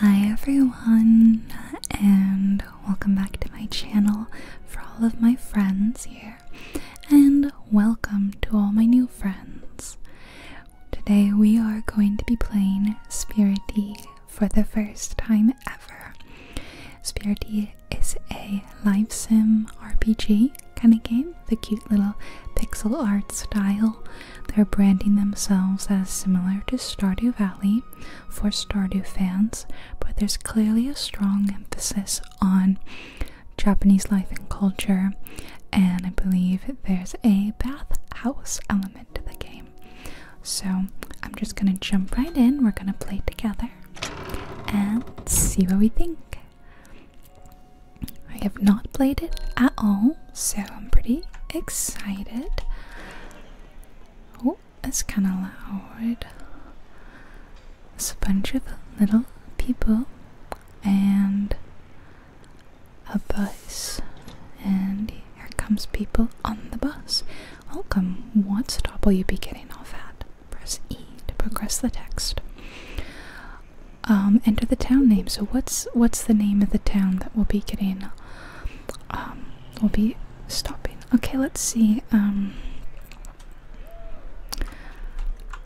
Hi everyone, and welcome back to my channel for all of my friends here, and welcome to all my new friends. Today we are going to be playing Spiriti for the first time ever. Spiriti is a live sim RPG kind of game, the cute little pixel art style they're branding themselves as similar to Stardew Valley for Stardew fans, but there's clearly a strong emphasis on Japanese life and culture, and I believe there's a bathhouse element to the game. So I'm just gonna jump right in, we're gonna play together and see what we think. I have not played it at all, so I'm pretty excited. Oh, it's kind of loud. It's a bunch of little people and a bus. And here comes people on the bus. Welcome. What stop will you be getting off at? Press E to progress the text um, enter the town name. So what's what's the name of the town that we'll be getting? Um, we'll be stopping. Okay, let's see. Um,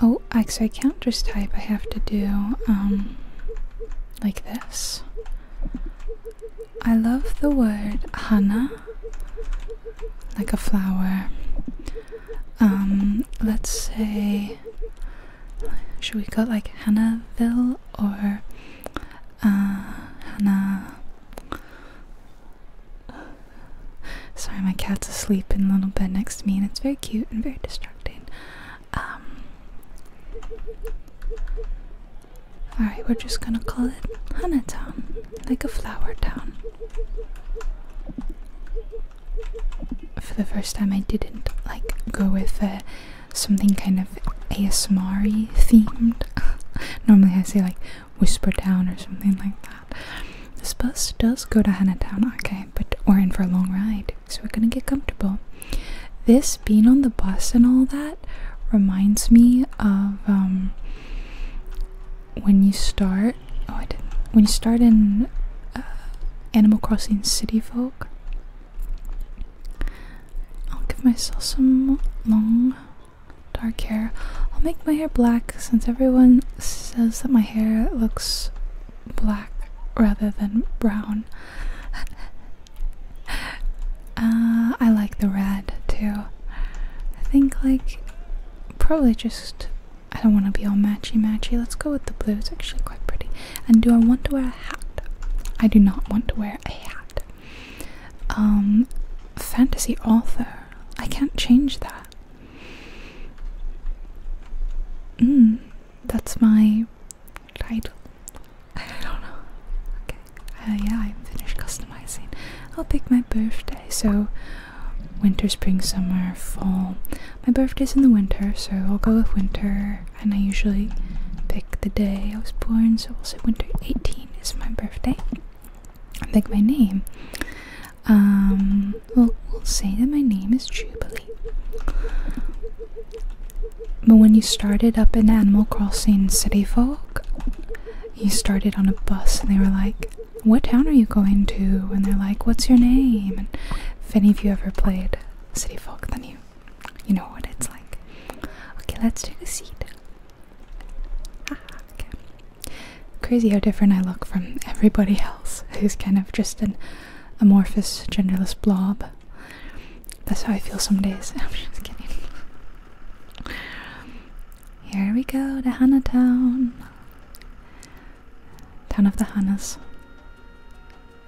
oh, actually, I can't just type. I have to do um, like this. I love the word Hana, like a flower. Um, let's say should we go like Hannahville or uh, Hannah? Sorry, my cat's asleep in the little bed next to me, and it's very cute and very distracting. Um, alright, we're just gonna call it Hannah Town, like a flower town. For the first time, I didn't like go with a something kind of ASMR themed. Normally I say like Whisper Town or something like that. This bus does go to Hanatown, okay, but we're in for a long ride, so we're gonna get comfortable. This being on the bus and all that reminds me of um, when you start. Oh, I didn't. When you start in uh, Animal Crossing City Folk, I'll give myself some long dark hair. I'll make my hair black since everyone says that my hair looks black rather than brown. Uh, I like the red too. I think, like, probably just. I don't want to be all matchy matchy. Let's go with the blue. It's actually quite pretty. And do I want to wear a hat? I do not want to wear a hat. Um, fantasy author. I can't change that. Mm, that's my title. I don't know. Okay. Uh, yeah, I'm finished customizing. I'll pick my birthday. So, winter, spring, summer, fall. My birthday's in the winter, so I'll go with winter and I usually pick the day I was born, so we'll say winter 18 is my birthday. I pick my name. Um, we'll, say that my name is Jubilee. But when you started up in Animal Crossing City Folk, you started on a bus and they were like, What town are you going to? And they're like, What's your name? if any of you ever played City Folk, then you you know what it's like. Okay, let's take a seat. Ah, Crazy how different I look from everybody else who's kind of just an amorphous, genderless blob. That's how I feel some days. I'm just kidding. Here we go to Hana Town. Town of the Hanas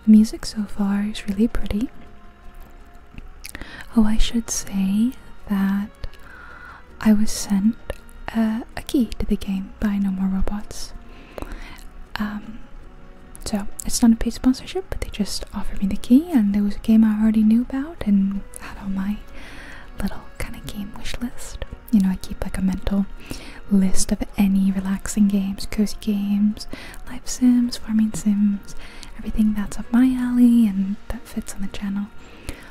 music so far is really pretty. Oh, I should say that I was sent uh, a key to the game by No More Robots. Um, so it's not a paid sponsorship, but they just offered me the key, and it was a game I already knew about and had on my little kind of game wish list. You know, I keep like a mental list of any relaxing games, cozy games, life sims, farming sims, everything that's up my alley and that fits on the channel.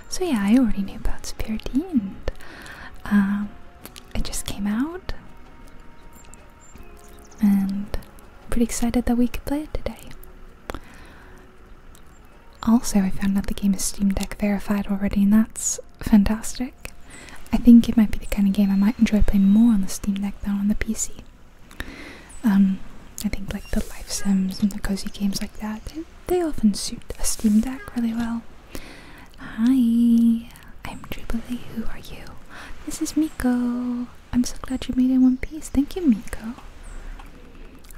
So yeah, I already knew about Superiority and um, it just came out and pretty excited that we could play it today. Also, I found out the game is Steam Deck verified already and that's fantastic. I think it might be the kind of game I might enjoy playing more on the Steam Deck than on the PC. Um, I think like the life sims and the cozy games like that, they, often suit a Steam Deck really well. Hi, I'm Jubilee. Who are you? This is Miko. I'm so glad you made it one piece. Thank you, Miko.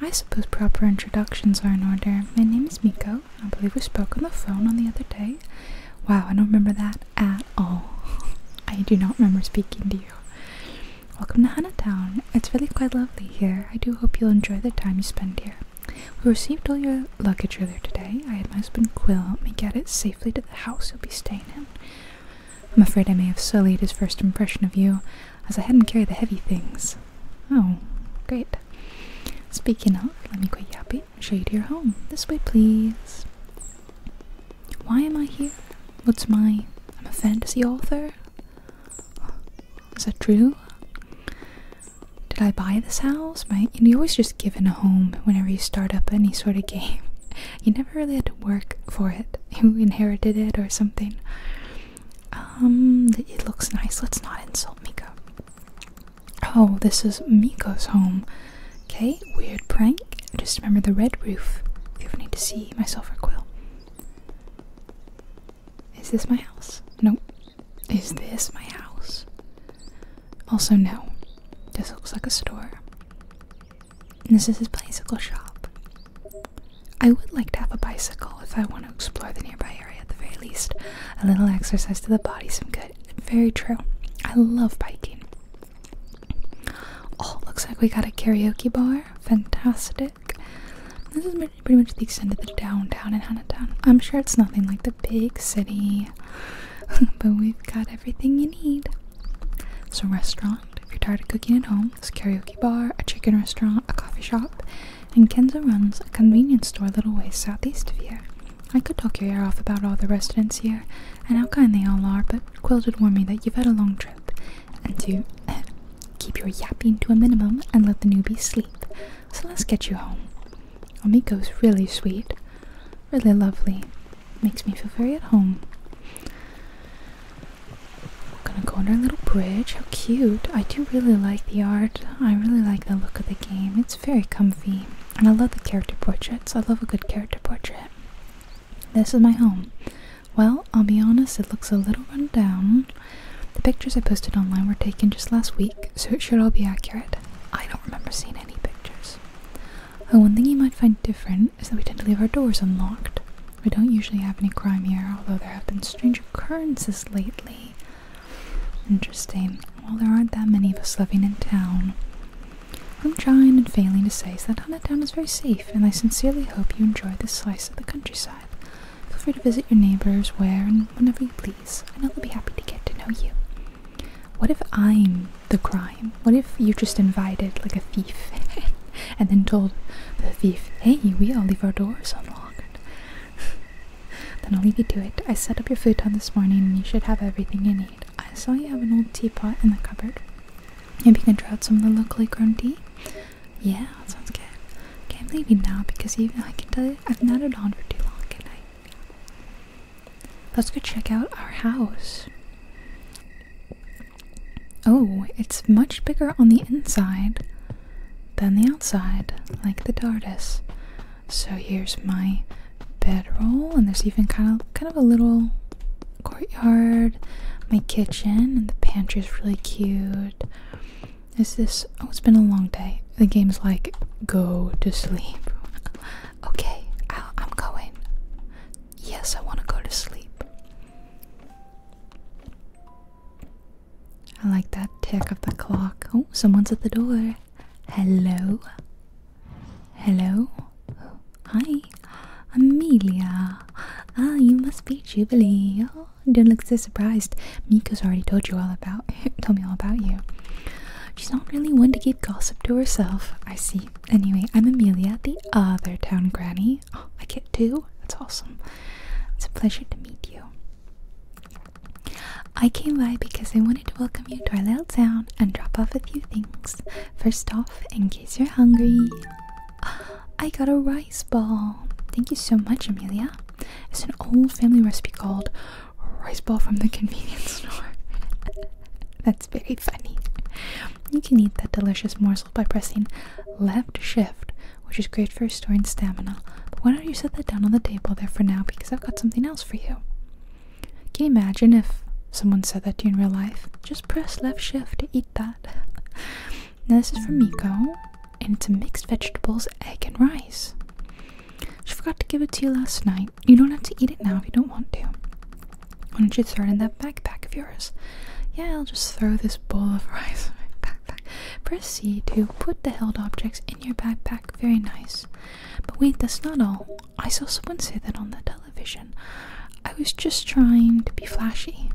I suppose proper introductions are in order. My name is Miko. I believe we spoke on the phone on the other day. Wow, I don't remember that at all. I do not remember speaking to you. Welcome to Town. It's really quite lovely here. I do hope you'll enjoy the time you spend here. We received all your luggage earlier today. I had my husband Quill help me get it safely to the house you'll be staying in. I'm afraid I may have sullied his first impression of you, as I hadn't carried the heavy things. Oh, great. Speaking of, let me quit yapping and show you to your home. This way, please. Why am I here? What's my. I'm a fantasy author? Is that true? Did I buy this house? you always just given a home whenever you start up any sort of game. You never really had to work for it. You inherited it or something. Um, it looks nice. Let's not insult Miko. Oh, this is Miko's home. Okay, weird prank. Just remember the red roof. If I need to see my or Quill. Is this my house? No. Is this my house? Also, no. This looks like a store. this is a bicycle shop. I would like to have a bicycle if I want to explore the nearby area at the very least. A little exercise to the body, some good. Very true. I love biking. Oh, looks like we got a karaoke bar. Fantastic. This is pretty much the extent of the downtown in Hanatown. I'm sure it's nothing like the big city, but we've got everything you need. So, restaurant if you're tired of cooking at home. It's a karaoke bar, a chicken restaurant, a coffee shop, and Kenzo runs a convenience store a little ways southeast of here. I could talk your ear off about all the residents here, and how kind they all are, but Quilt would warn me that you've had a long trip, and to keep your yapping to a minimum and let the newbie sleep. So let's get you home. Amico's really sweet, really lovely, makes me feel very at home. We're gonna go under a little bridge. How cute! I do really like the art. I really like the look of the game. It's very comfy, and I love the character portraits. I love a good character portrait. This is my home. Well, I'll be honest, it looks a little run down. The pictures I posted online were taken just last week, so it should all be accurate. I don't remember seeing any pictures. Oh, one thing you might find different is that we tend to leave our doors unlocked. We don't usually have any crime here, although there have been strange occurrences lately. Interesting. Well, there aren't that many of us living in town. I'm trying and failing to say is that Huntdown is very safe, and I sincerely hope you enjoy this slice of the countryside. Feel free to visit your neighbors where and whenever you please, and I'll be happy to get to know you. What if I'm the crime? What if you just invited like a thief and then told the thief, hey, we all leave our doors unlocked? then I'll leave you to it. I set up your food on this morning and you should have everything you need. I saw you have an old teapot in the cupboard. Maybe you can try out some of the locally grown tea? Yeah, that sounds good. Okay, I'm leaving now because even I can tell you I've not nodded on for too long, can Let's go check out our house. Oh, it's much bigger on the inside than the outside, like the TARDIS. So here's my bedroll, and there's even kind of kind of a little courtyard, my kitchen, and the pantry is really cute. Is this? Oh, it's been a long day. The game's like, go to sleep. okay, i I'm going. Yes, I want to go to sleep. I like that tick of the clock. Oh, someone's at the door. Hello. Hello? Hi, Amelia. Ah, you must be Jubilee. Oh, don't look so surprised. Miko's already told you all about told me all about you. She's not really one to keep gossip to herself. I see. Anyway, I'm Amelia, the other town granny. Oh, I get two? That's awesome. It's a pleasure to meet you. I came by because I wanted to welcome you to our little town and drop off a few things. First off, in case you're hungry, I got a rice ball. Thank you so much, Amelia. It's an old family recipe called rice ball from the convenience store. That's very funny. You can eat that delicious morsel by pressing left shift, which is great for restoring stamina. But why don't you set that down on the table there for now because I've got something else for you. Can you imagine if someone said that to you in real life? Just just press left shift to eat that. Now this is from Miko, and it's a mixed vegetables, egg, and rice. She forgot to give it to you last night. You don't have to eat it now if you don't want to. Why don't you throw it in that backpack of yours? Yeah, I'll just throw this bowl of rice in my backpack. Press C to put the held objects in your backpack. Very nice. But wait, that's not all. I saw someone say that on the television. I was just trying to be flashy.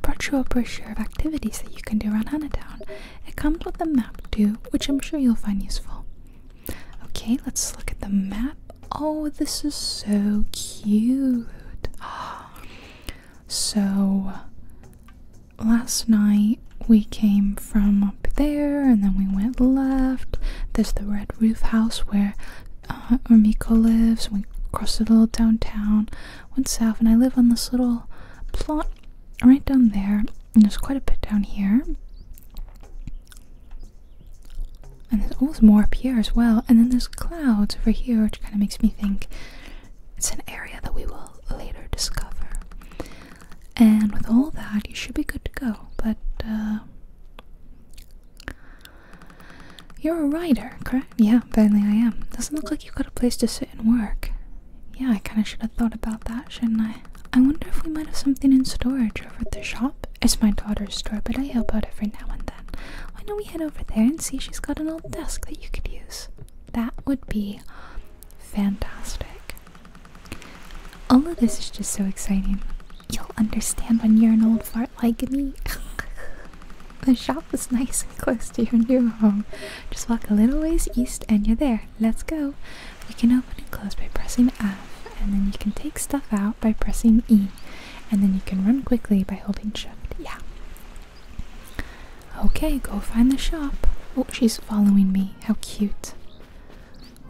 brought you a brochure of activities that you can do around Hannatown. It comes with a map too, which I'm sure you'll find useful. Okay, let's look at the map. Oh, this is so cute. So, last night we came from up there and then we went left. There's the red roof house where where uh, Miko lives. We crossed a little downtown, went south, and I live on this little plot right down there. And there's quite a bit down here. And there's always more up here as well. And then there's clouds over here, which kind of makes me think it's an area that we will later discover. And with all that, you should be good to go. But uh, you're a writer, correct? Yeah, apparently I am. Doesn't look like you've got a place to sit and work. Yeah, I kind of should have thought about that, shouldn't I? I wonder if we might have something in storage over at the shop. It's my daughter's store, but I help out every now and then. Why don't we head over there and see if she's got an old desk that you could use? That would be fantastic. All of this is just so exciting. You'll understand when you're an old fart like me. the shop is nice and close to your new home. Just walk a little ways east and you're there. Let's go. We can open and close by pressing F, and then you can take stuff out by pressing E, and then you can run quickly by holding Shift. Yeah. Okay, go find the shop. Oh, she's following me. How cute.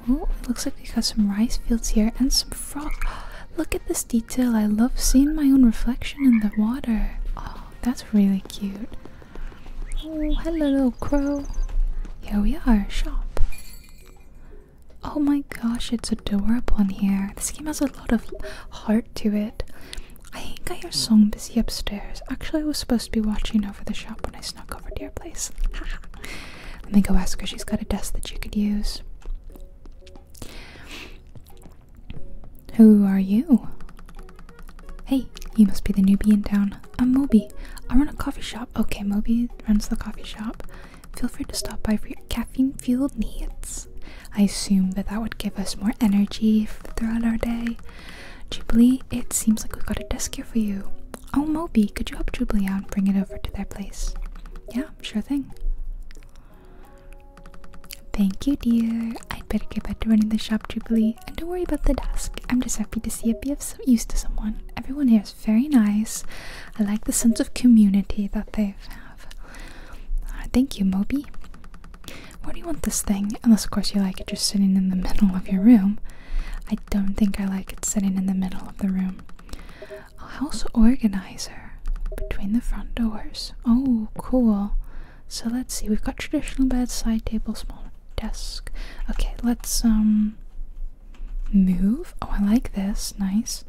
Oh, looks like we got some rice fields here and some frogs. Look at this detail. I love seeing my own reflection in the water. Oh, that's really cute. Oh, hello, little crow. Here we are, shop. Oh my gosh, it's adorable in here. This game has a lot of heart to it. I think I hear Song busy upstairs. Actually, I was supposed to be watching over the shop when I snuck over to your place. Let me go ask her. She's got a desk that you could use. Who are you? Hey, you must be the newbie in town. I'm Moby. I run a coffee shop. Okay, Moby runs the coffee shop. Feel free to stop by for your caffeine fueled needs. I assume that that would give us more energy throughout our day. Jubilee, it seems like we've got a desk here for you. Oh, Moby, could you help Jubilee out and bring it over to their place? Yeah, sure thing. Thank you, dear. I'd better get back to running the shop, Jubilee. And don't worry about the desk. I'm just happy to see it be of use to someone. Everyone here is very nice. I like the sense of community that they have. Uh, thank you, Moby. Where do you want this thing? Unless, of course, you like it just sitting in the middle of your room. I don't think I like it sitting in the middle of the room. A house organizer between the front doors. Oh, cool. So let's see. We've got traditional bed, side table, small desk. Okay, let's um move. Oh, I like this. Nice.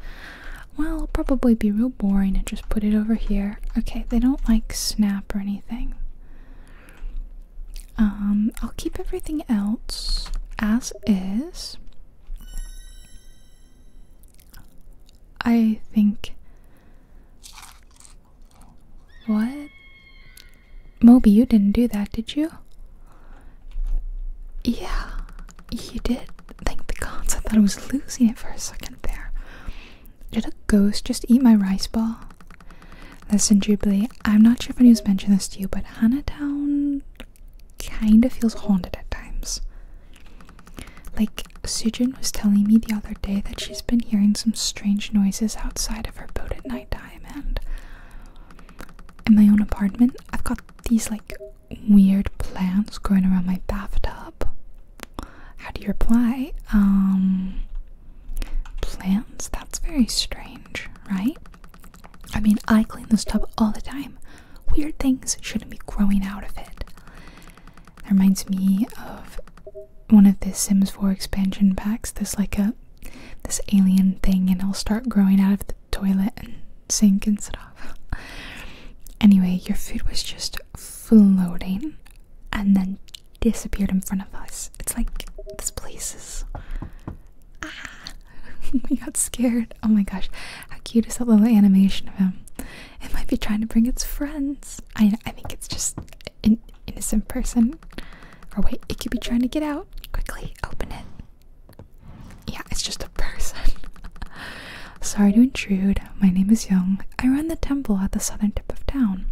Well, probably be real boring and just put it over here. Okay, they don't like snap or anything. Um, I'll keep everything else as is. I think. What? Moby, you didn't do that, did you? Yeah, you did. Thank the gods. I thought I was losing it for a second there. Did a ghost just eat my rice ball? Listen, Jubilee, I'm not sure if I was mentioned this to you, but Hannatown kind of feels haunted at times. Like, Sujin was telling me the other day that she's been hearing some strange noises outside of her boat at nighttime, and in my own apartment, I've got these like weird plants growing around my bathtub. How do you reply? Um, plants? That's very strange, right? I mean, I clean this tub all the time. Weird things shouldn't be growing out of it. That reminds me of one of the Sims 4 expansion packs. This like a this alien thing and it'll start growing out of the toilet and sink and stuff. anyway, your food was just floating and then disappeared in front of us. It's like this place is ah we got scared. Oh my gosh, how cute is that little animation of him? It might be trying to bring its friends. I I think it's just an innocent person. Or wait, it could be trying to get out. Quickly, open it. Yeah, it's just a person. Sorry to intrude. My name is Young. I run the temple at the southern tip of town.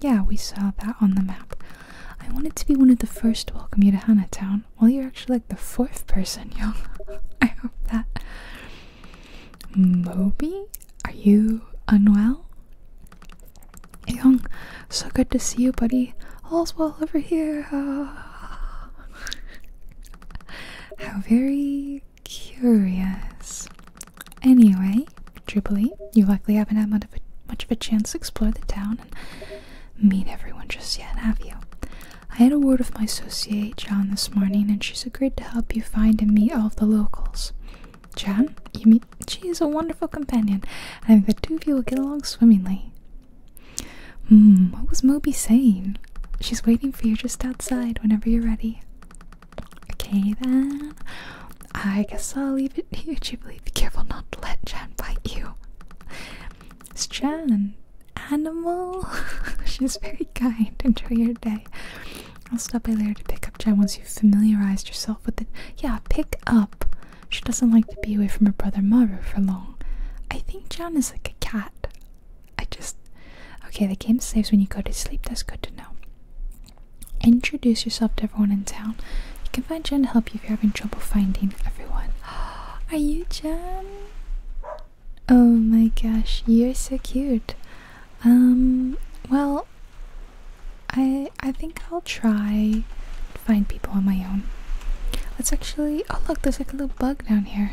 Yeah, we saw that on the map. I wanted to be one of the first to welcome you to Hanatown. Well, you're actually like the fourth person, Young. I hope that Moby, are you unwell? Young, so good to see you, buddy. All's well over here. How very curious. Anyway, Jubilee, you likely haven't had much of, a, much of a chance to explore the town and meet everyone just yet, have you? I had a word with my associate, Jan, this morning, and she's agreed to help you find and meet all of the locals. Jan, you meet she is a wonderful companion, and I think the two of you will get along swimmingly. Hmm, what was Moby saying? She's waiting for you just outside whenever you're ready. Okay then. I guess I'll leave it here, Jubilee. Be careful not to let Jan bite you. It's Jan animal. She's very kind. Enjoy your day. I'll stop by later to pick up Jen once you've familiarized yourself with it. Yeah, pick up. She doesn't like to be away from her brother Maru for long. I think Jen is like a cat. I just. Okay, the game saves when you go to sleep. That's good to know. Introduce yourself to everyone in town. You can find Jen to help you if you're having trouble finding everyone. Are you Jen? Oh my gosh, you're so cute. Um, well, I I think I'll try find people on my own. Let's actually. Oh look, there's like a little bug down here.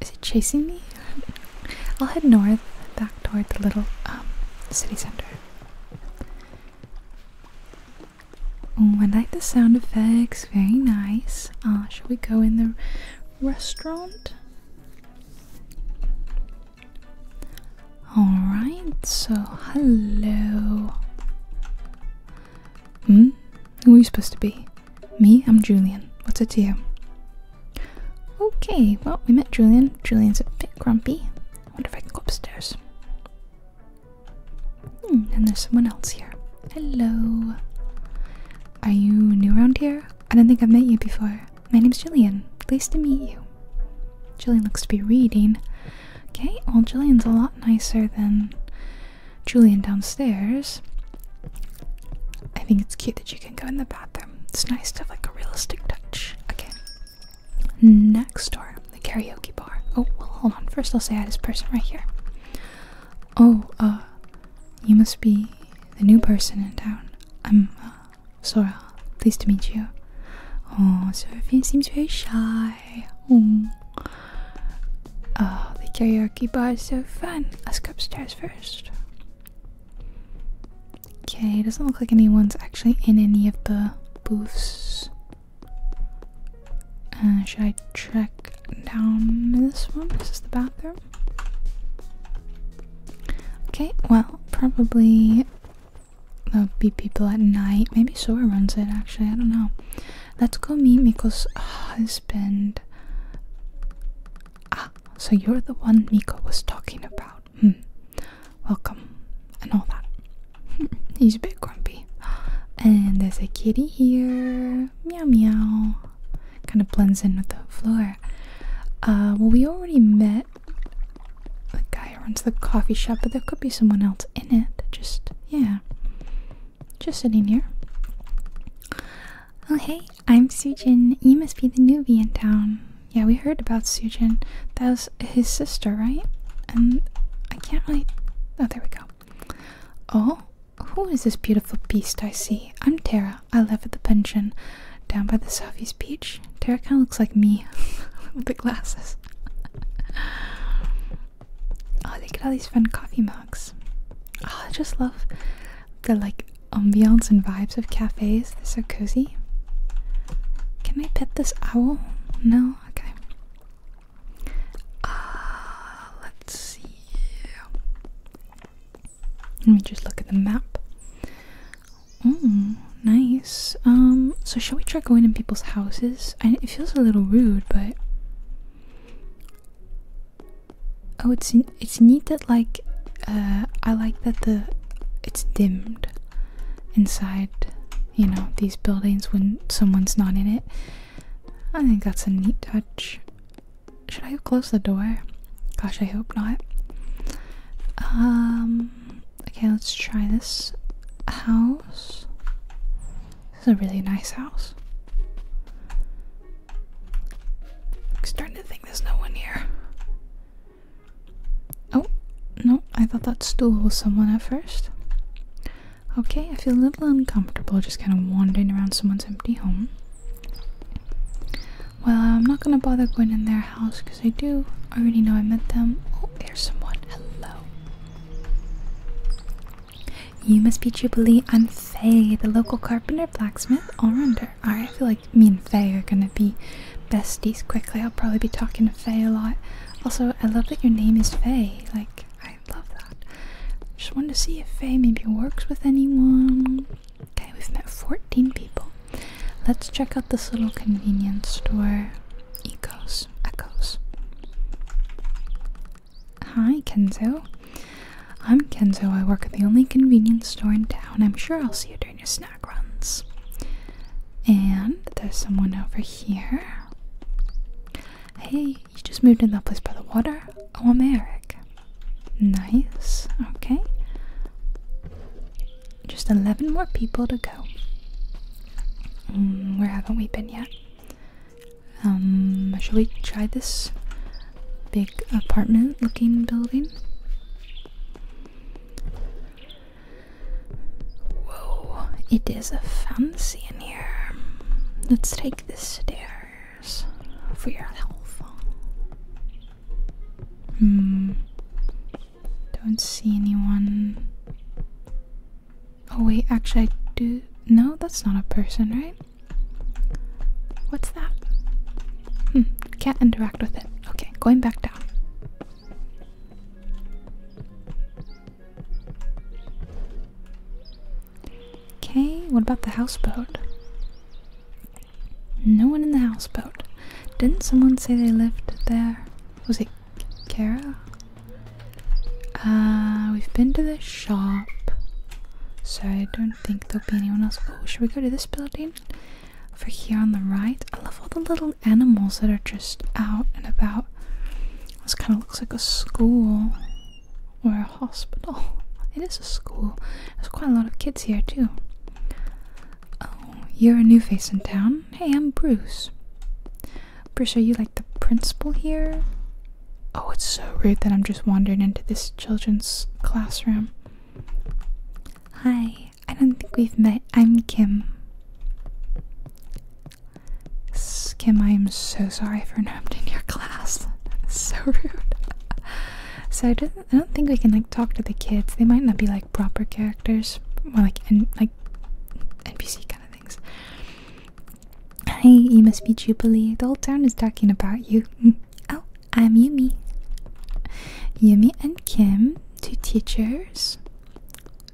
Is it chasing me? I'll head north, back toward the little um city center. Oh, I like the sound effects. Very nice. Uh, should we go in the restaurant. Alright, so hello. Hmm? Who are you supposed to be? Me? I'm Julian. What's it to you? Okay, well, we met Julian. Julian's a bit grumpy. I wonder if I can go upstairs. Hmm, and there's someone else here. Hello. Are you new around here? I don't think I've met you before. My name's Jillian. Pleased to meet you. Jillian looks to be reading. Okay, well, Jillian's a lot nicer than Julian downstairs. I think it's cute that you can go in the bathroom. It's nice to have like a realistic touch. Okay. Next door, the karaoke bar. Oh, well, hold on. First, I'll say hi to this person right here. Oh, uh, you must be the new person in town. I'm uh, Sora. Pleased to meet you. Oh, Seraphine seems very shy. Oh. the karaoke bar is so fun. Let's go upstairs first. Okay, doesn't look like anyone's actually in any of the booths. Uh, should I check down this one? This Is the bathroom? Okay, well, probably there'll be people at night. Maybe Sora runs it, actually. I don't know. Let's go meet Miko's husband. Ah, so you're the one Miko was talking about. Hmm. Welcome. And all that. He's a bit grumpy. And there's a kitty here. Meow meow kind of blends in with the floor. Uh, well, we already met the guy who runs the coffee shop, but there could be someone else in it. Just, yeah. Just sitting here. Oh, hey, I'm Sujin. You must be the newbie in town. Yeah, we heard about Sujin. That was his sister, right? And I can't really. Oh, there we go. Oh, who is this beautiful beast I see? I'm Tara. I live at the pension down by the southeast beach. Tara kind of looks like me with the glasses. oh, look at all these fun coffee mugs. Oh, I just love the like ambiance and vibes of cafes. They're so cozy. Can I pet this owl? No? Okay. Ah, let's see. Let me just look at the map. Oh, nice. Um, so shall we try going in people's houses? I, it feels a little rude, but oh, it's it's neat that like uh, I like that the it's dimmed inside. You know these buildings when someone's not in it. I think that's a neat touch. Should I close the door? Gosh, I hope not. Um, okay, let's try this house. This is a really nice house. I'm starting to think there's no one here. Oh, no, I thought that stool was someone at first. Okay, I feel a little uncomfortable just kind of wandering around someone's empty home. Well, I'm not gonna bother going in their house because I do already know I met them. Oh, there's someone. Hello. You must be Jubilee. and am Faye, the local carpenter, blacksmith, all rounder. Alright, I feel like me and Faye are gonna be besties quickly. I'll probably be talking to Faye a lot. Also, I love that your name is Faye. Like, I love that. Just want to see if Faye maybe works with anyone. Okay, we've met 14 people. Let's check out this little convenience store. Ecos. Echoes. Hi, Kenzo. I'm Kenzo. I work at the only convenience store in town. I'm sure I'll see you during your snack runs. And there's someone over here. Hey, you just moved in that place by the water? Oh, I'm Eric. Nice, okay. Just 11 more people to go. Mm, where haven't we been yet? Um, should we try this big apartment looking building? Whoa, it is a fancy in here. Let's take the stair for your health. Hmm. Don't see anyone. Oh wait, actually I do no, that's not a person, right? What's that? Hmm, can't interact with it. Okay, going back down. Okay, what about the houseboat? No one in the houseboat. Didn't someone say they lived there? Was it Kara? Uh, we've been to the shop. So I don't think there'll be anyone else. Oh, should we go to this building? Over here on the right. I love all the little animals that are just out and about. This kind of looks like a school or a hospital. It is a school. There's quite a lot of kids here too. Oh, you're a new face in town. Hey, I'm Bruce. Bruce, are you like the principal here? Oh, it's so rude that I'm just wandering into this children's classroom. Hi, I don't think we've met. I'm Kim. Kim, I am so sorry for interrupting your class. so rude. So I did not I don't think we can like talk to the kids. They might not be like proper characters, more like like NPC kind of things. Hey, you must be Jubilee. The whole town is talking about you. Mm. oh, I'm Yumi. Yumi and Kim, two teachers.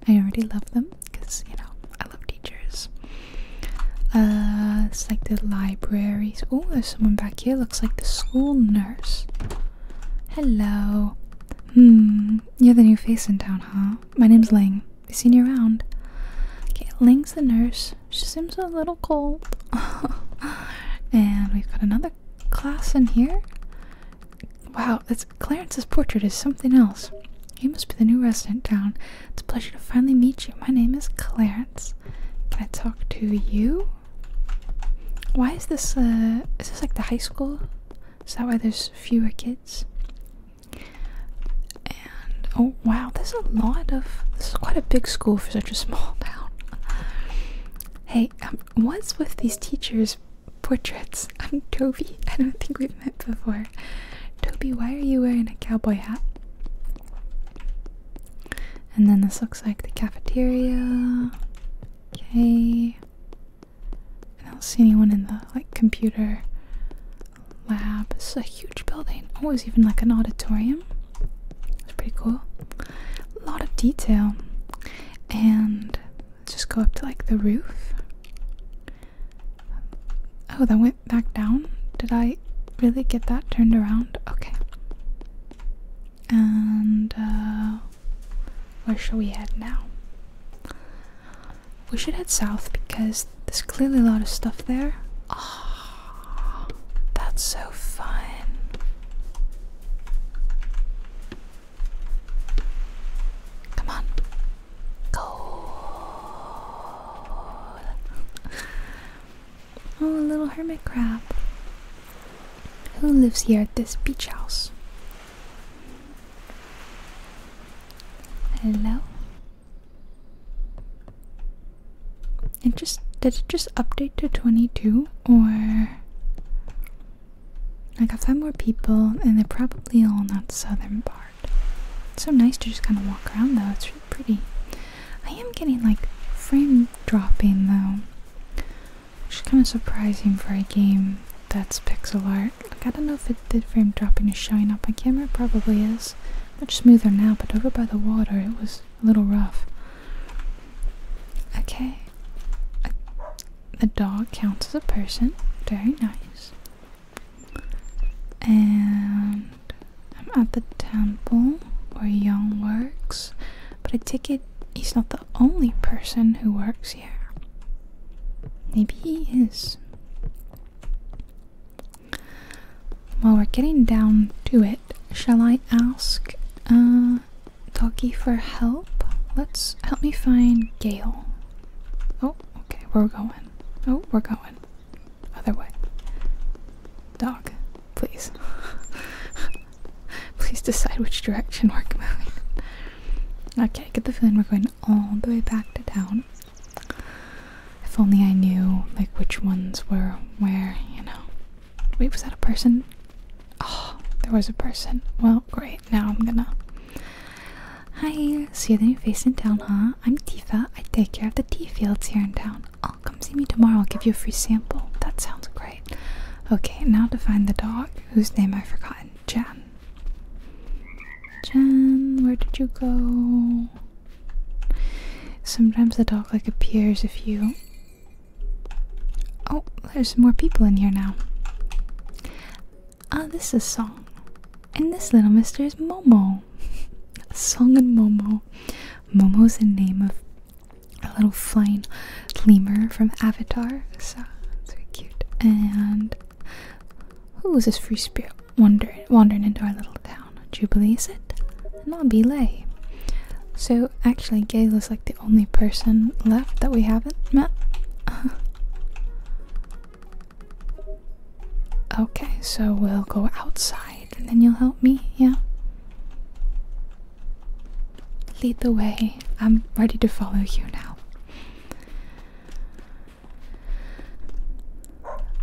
I already love them because you know I love teachers. Uh, it's like the libraries. Oh, there's someone back Slovakia looks like the school nurse. Hello. Hmm, you're the new face in town, huh? My name's Ling. I've seen you around. Okay, Ling's the nurse. She seems a little cold. and we've got another class in here. Wow, that's Clarence's portrait is something else. You must be the new resident town. It's a pleasure to finally meet you. My name is Clarence. Can I talk to you? Why is this, uh, is this like the high school? Is that why there's fewer kids? And, oh wow, there's a lot of, this is quite a big school for such a small town. Hey, um, what's with these teachers' portraits? I'm Toby. I don't think we've met before. Toby, why are you wearing a cowboy hat? And then this looks like the cafeteria. Okay. I don't see anyone in the like computer lab. It's a huge building. Oh, it's even like an auditorium. It's pretty cool. A lot of detail. And just go up to like the roof. Oh, that went back down. Did I really get that turned around? Okay and uh, where shall we head now? We should head south because there's clearly a lot of stuff there. Ah, that's so fun. Come on, go. Oh, a little hermit crab. Who lives here at this beach house? Hello? It just did it just update to 22 or I got five more people and they're probably all in that southern part. It's so nice to just kind of walk around though. It's really pretty. I am getting like frame dropping though. Which is kind of surprising for a game that's pixel art. I don't know if it, the frame dropping is showing up on camera. It probably is. Much smoother now, but over by the water it was a little rough. Okay. A, uh, dog counts as a person. Very nice. And I'm at the temple where Young works. But a ticket is not the only person who works here. Maybe he is. While we're getting down to it, shall I ask uh, Doggy for help? Let's help me find Gale. Oh, okay, Where we're going. Oh, we're going. Other way. Dog, please. Please decide which direction we're going. Okay, I get the feeling we're going all the way back to town. If only I knew, like, which ones were where, you know. Wait, was that a person? Oh, there was a person. Well, great. Now I'm gonna. Hi, see you're the new face in town, huh? I'm Tifa. I take care of the tea fields here in town. I'll oh, come see me tomorrow. I'll give you a free sample. That sounds great. Okay, now to find the dog whose name I've forgotten. Jen. Jen, where did you go? Sometimes the dog like appears if you. Oh, there's more people in here now. Ah, this is Song. And this little mister is Momo. Song and Momo. Momo's the name of a little flying lemur from Avatar. So it's very cute. And who was this free spirit wandering into our little town? Jubilee is it? Not Belay. So actually Gail is like the only person left that we haven't met. okay, so we'll go outside and then you'll help me, yeah? Lead the way. I'm ready to follow you now.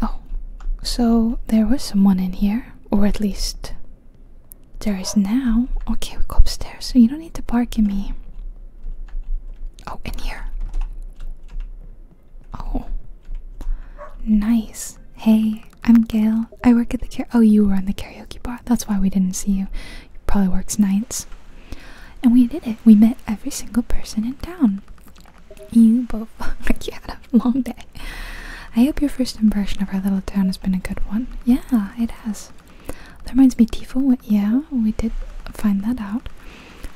Oh, so there was someone in here, or at least there is now. Okay, we go upstairs, so you don't need to bark at me. Oh, in here. Oh, nice. Hey, I'm Gail. I work at the car. Oh, you were on the karaoke bar. That's why we didn't see you. probably works nights. And we did it. We met every single person in town. You both. you had a long day. I hope your first impression of our little town has been a good one. Yeah, it has. That reminds me, Tifa. yeah, we did find that out.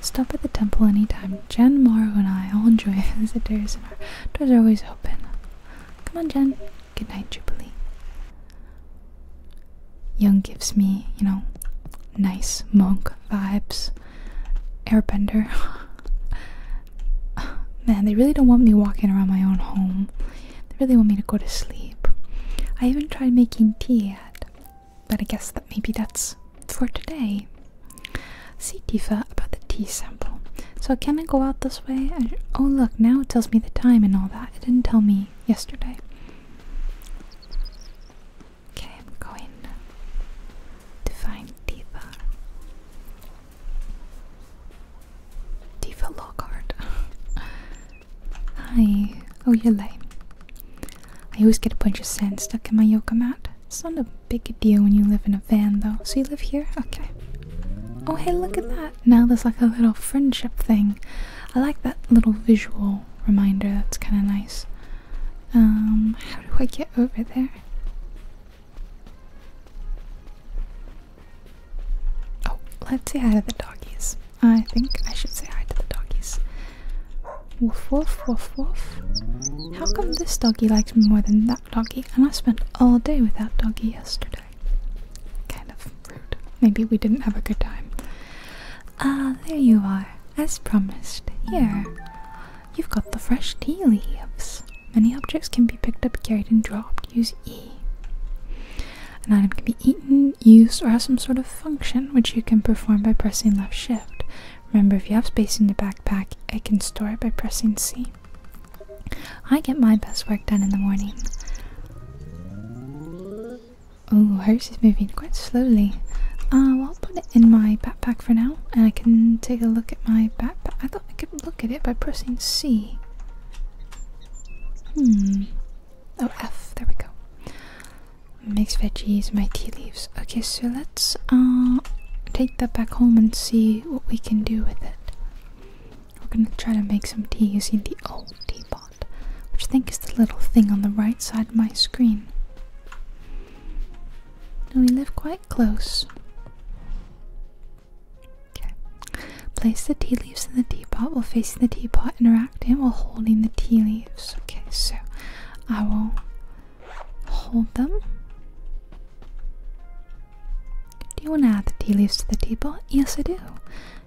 Stop at the temple anytime. Jen, Maru and I all enjoy visitors, and our doors are always open. Come on, Jen. Good night, Jubilee. Young gives me, you know, nice monk vibes. Airbender. Man, they really don't want me walking around my own home. They really want me to go to sleep. I haven't tried making tea yet, but I guess that maybe that's for today. See Tifa about the tea sample. So can I go out this way? oh look, now it tells me the time and all that. It didn't tell me yesterday. Okay, I'm going to find Diva. Diva Lockhart. Hi. Oh, you're lame. I always get a bunch of sand stuck in my yoga mat. It's not a big deal when you live in a van though. So you live here? Okay. Oh hey, look at that that, now there's like a little friendship thing. I like that little visual reminder, that's kind of nice. Um, how do I get over there? Oh, let's say hi to the doggies. I think I should say hi to the doggies. Woof woof woof woof. How come this doggy likes me more than that doggy? And I spent all day with that doggy yesterday. Kind of rude. Maybe we didn't have a good time. Ah, there you are, as promised. Here. You've got the fresh tea leaves. Many objects can be picked up, carried, and dropped. Use E. An item can be eaten, used, or has some sort of function which you can perform by pressing left shift. Remember, if you have space in the backpack, I can store it by pressing C. I get my best work done in the morning. Oh, hers is moving quite slowly. Uh, I'll put it in my backpack for now, and I can take a look at my backpack. I thought I could look at it by pressing C. Hmm. Oh, F. There we go. Mixed veggies, my tea leaves. Okay, so let's uh, take that back home and see what we can do with it. We're going to try to make some tea using the old teapot, which I think is the little thing on the right side of my screen. And we live quite close. Okay. Place the tea leaves in the teapot while facing the teapot and interact it while holding the tea leaves. Okay, so I will hold them do you want to add the tea leaves to the teapot? Yes, I do.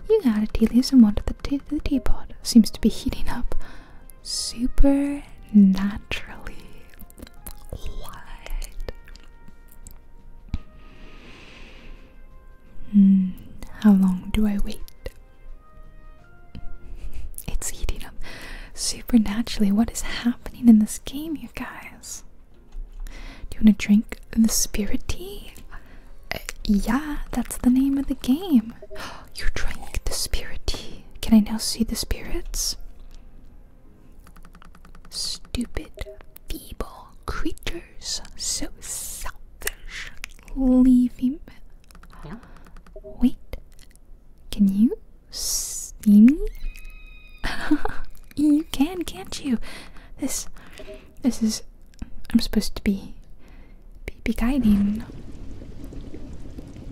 You added tea leaves and water the to the teapot. Seems to be heating up super naturally. What? Hmm, how long do I wait? It's heating up supernaturally. What is happening in this game, you guys? Do you want to drink the spirit tea? Uh, yeah, that's the name of the game. You drink the spirit tea. Can I now see the spirits? Stupid, feeble creatures, so selfish. Leave him. Wait, can you see me? you can, can't you? This, this is I'm supposed to be be, guiding.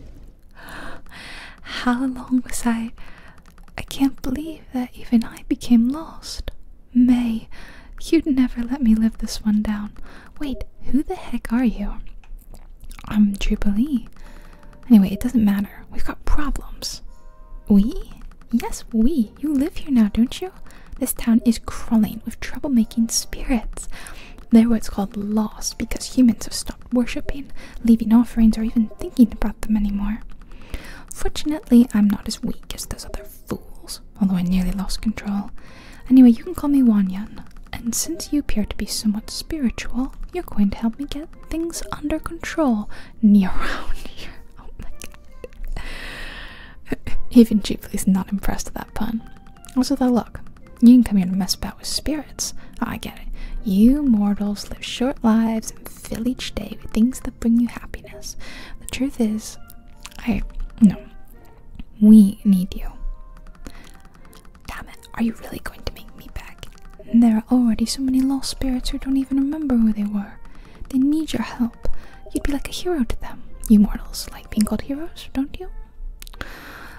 How long was I? I can't believe that even I became lost. May, you'd never let me live this one down. Wait, who the heck are you? I'm Jubilee. Anyway, it doesn't matter. We've got problems. We? Yes, we you live here now, don't you? This town is crawling with troublemaking spirits. They're what's called lost because humans have stopped worshipping, leaving offerings, or even thinking about them anymore. Fortunately, I'm not as weak as those other fools, although I nearly lost control. Anyway, you can call me Wanyan, and since you appear to be somewhat spiritual, you're going to help me get things under control near around here. Oh my Even Ghibli's not impressed with that pun. Also, though, look, you can come here and mess about with spirits. Oh, I get it. You mortals live short lives and fill each day with things that bring you happiness. The truth is, I. No. We need you. Damn it, are you really going to make me back? There are already so many lost spirits who don't even remember who they were. They need your help. You'd be like a hero to them. You mortals like being called heroes, don't you?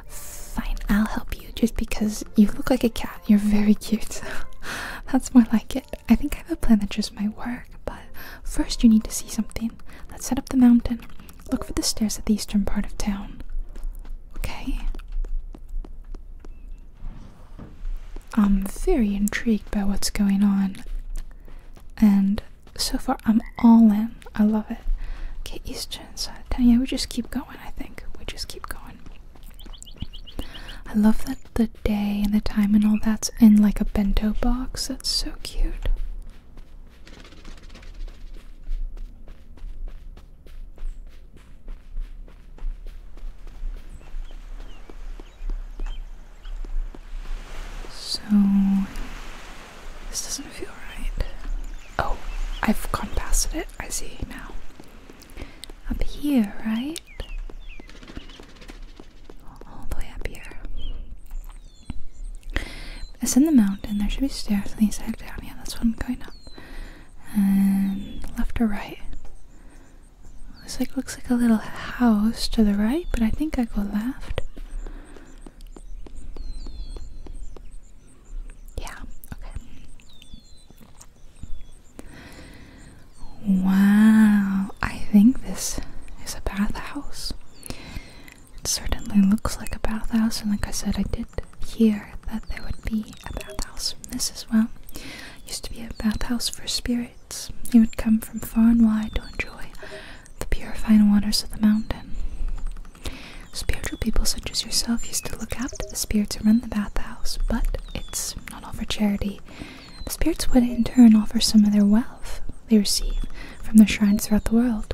Fine, I'll help you just because you look like a cat. You're very cute. That's more like it. I think I have a plan that just might work, but first you need to see something. Let's set up the mountain. Look for the stairs at the eastern part of town. Okay. I'm very intrigued by what's going on and so far I'm all in. I love it. Okay, eastern side. Tanya, we just keep going. I think we just keep going. I love that the day and the time and all that's in like a bento box. That's so cute. So this doesn't feel right. Oh, I've gone past it. I see now. Up here, right? All the way up here. It's in the mountain. There should be stairs on the side down. Yeah, that's what I'm going up. And left or right? Looks like looks like a little house to the right, but I think I go left. Yeah, okay. Wow, I think this is a bathhouse. It certainly looks like a bathhouse, and like I said, I did hear that there would be a bathhouse. This as well used to be a bathhouse for spirits. You would come from far and wide to enjoy the purifying waters of the mountain. Spiritual people such as yourself used to look after the spirits who run the bathhouse, but it's not all for charity. The spirits would in turn offer some of their wealth they receive from their shrines throughout the world.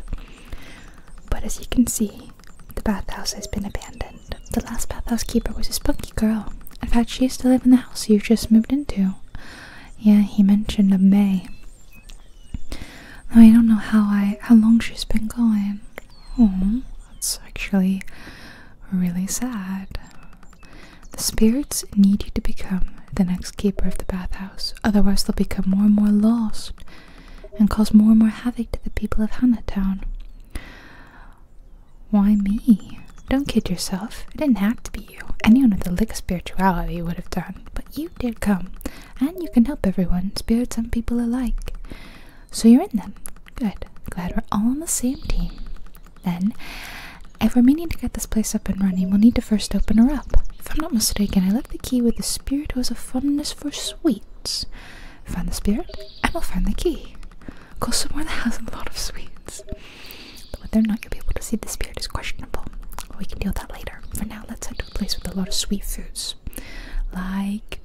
But as you can see, the bathhouse has been abandoned. The last bathhouse keeper was a spunky girl. In fact, she used to live in the house you just moved into. Yeah, he mentioned a May. Now, I don't know how I how long she's been going. Oh, that's actually really sad. The spirits need you to become the next keeper of the bathhouse, otherwise they'll become more and more lost and cause more and more havoc to the people of Hannatown. Why me? Don't kid yourself. It didn't have to be you. Anyone with a lick of spirituality would have done, but you did come, and you can help everyone, spirits and people alike. So you're in them. Good. Glad we're all on the same team. Then, if we're meaning to get this place up and running, we'll need to first open her up. If I'm not mistaken, I left the key with the spirit who has a fondness for sweets. Find the spirit, and we'll find the key. Go somewhere that has a lot of sweets whether or not you'll be able to see the spirit is questionable. We can deal with that later. For now, let's head to a place with a lot of sweet foods. Like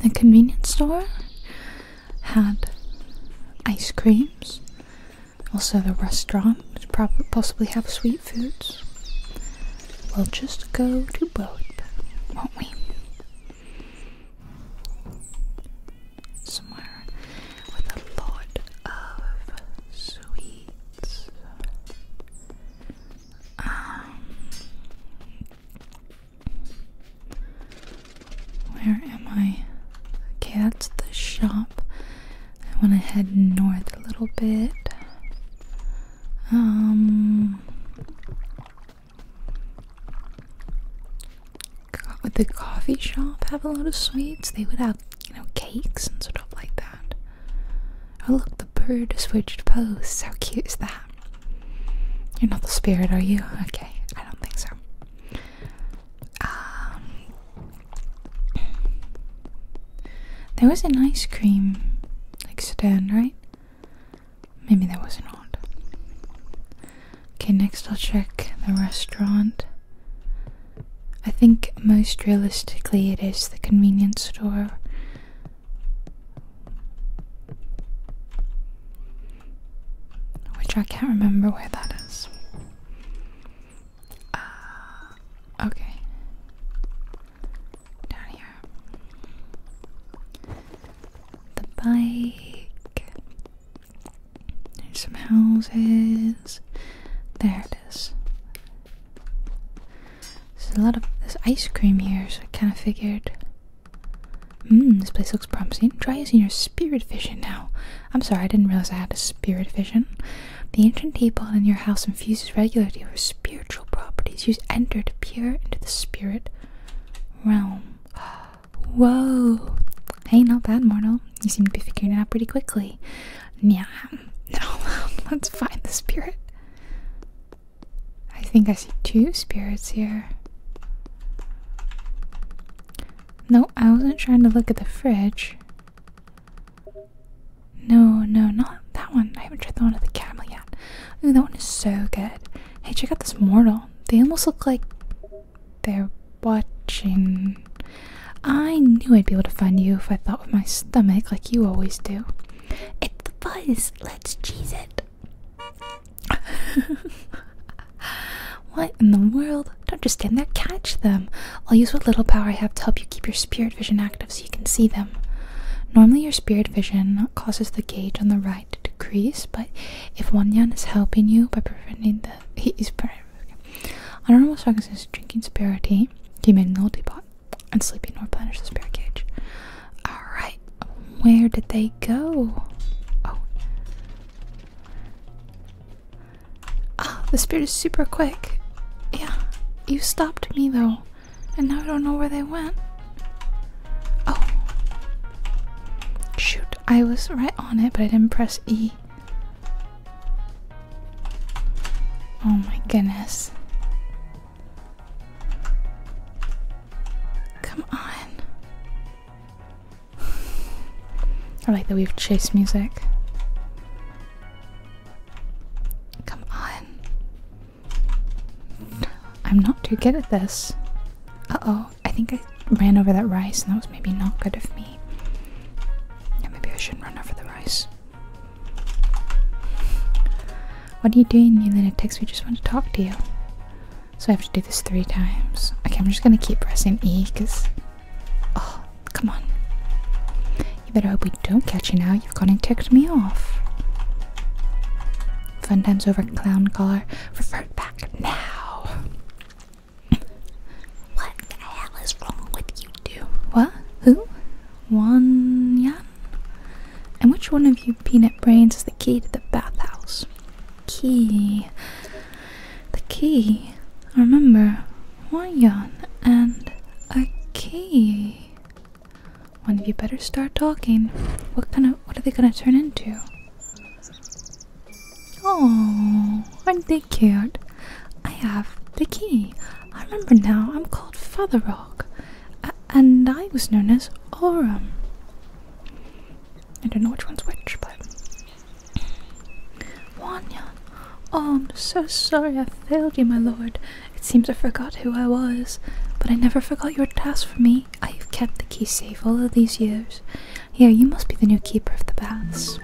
the convenience store had ice creams. Also, the restaurant would possibly have sweet foods. We'll just go to both, won't we? somewhere with a lot of sweets. Um, where am I? Okay, that's the shop. I want to head north a little bit. Um, the coffee shop have a lot of sweets? They would have you know, cakes and stuff like that. Oh, look, the bird switched posts. How cute is that? You're not the spirit, are you? Okay, I don't think so. Um, there was an ice cream like stand, right? Maybe that was not. Okay, next I'll check the restaurant. I think most realistically it is the convenience store. Which I can't remember where that is. Uh, okay. Down here. The bike. There's some houses. There it is. There's a lot of this ice cream here, so I kind of figured. Mmm, this place looks promising. Try using your spirit vision now. I'm sorry, I didn't realize I had a spirit vision. The ancient teapot in your house infuses regularly with spiritual properties. Use enter to peer into the spirit realm. Whoa! Hey, not bad, mortal. You seem to be figuring it out pretty quickly. Yeah, no, let's find the spirit. I think I see two spirits here. No, I wasn't trying to look at the fridge. No, no, not that one. I haven't tried the one at the camel yet. Ooh, that one is so good. Hey, check out this mortal. They almost look like they're watching. I knew I'd be able to find you if I thought with my stomach like you always do. It's the buzz. Let's cheese it. what in the world? don't just stand there. Catch them. I'll use what little power I have to help you keep your spirit vision active so you can see them. Normally, your spirit vision causes the gauge on the right to decrease, but if Wanyan is helping you by preventing the he he's I don't know Okay. Honorable Struggles's drinking superiority came made an altipot and sleeping nor planners the spirit cage. Alright, where did they go? Oh, ah, the spirit is super quick. Yeah, you stopped me though, and now I don't know where they went. Oh. Shoot, I was right on it, but I didn't press E. Oh my goodness. Come on. I like that we have chase music. Come on. I'm not too good at this. Uh oh, I think I ran over that rice and that was maybe not good of me maybe I shouldn't run over the rice. What are you doing, you little text We just want to talk to you. So I have to do this three times. Okay, I'm just gonna keep pressing E because. Oh, come on. You better hope we don't catch you now. You've gone and ticked me off. Fun times over, clown collar. Revert back now. What the hell is wrong with you two? What? Who? One Yan? And which one of you peanut brains is the key to the bathhouse? Key. The key. I remember. One Yan and a key. One of you better start talking. What kind of what are they gonna turn into? Oh, aren't they very cute. I have the key. I remember now I'm called Father Rock, and I was known as Oram. I don't know which one's which, but. Wanya! Oh, I'm so sorry I failed you, my lord. It seems I forgot who I was, but I never forgot your task for me. I've kept the key safe all of these years. Here, you must be the new keeper of the baths.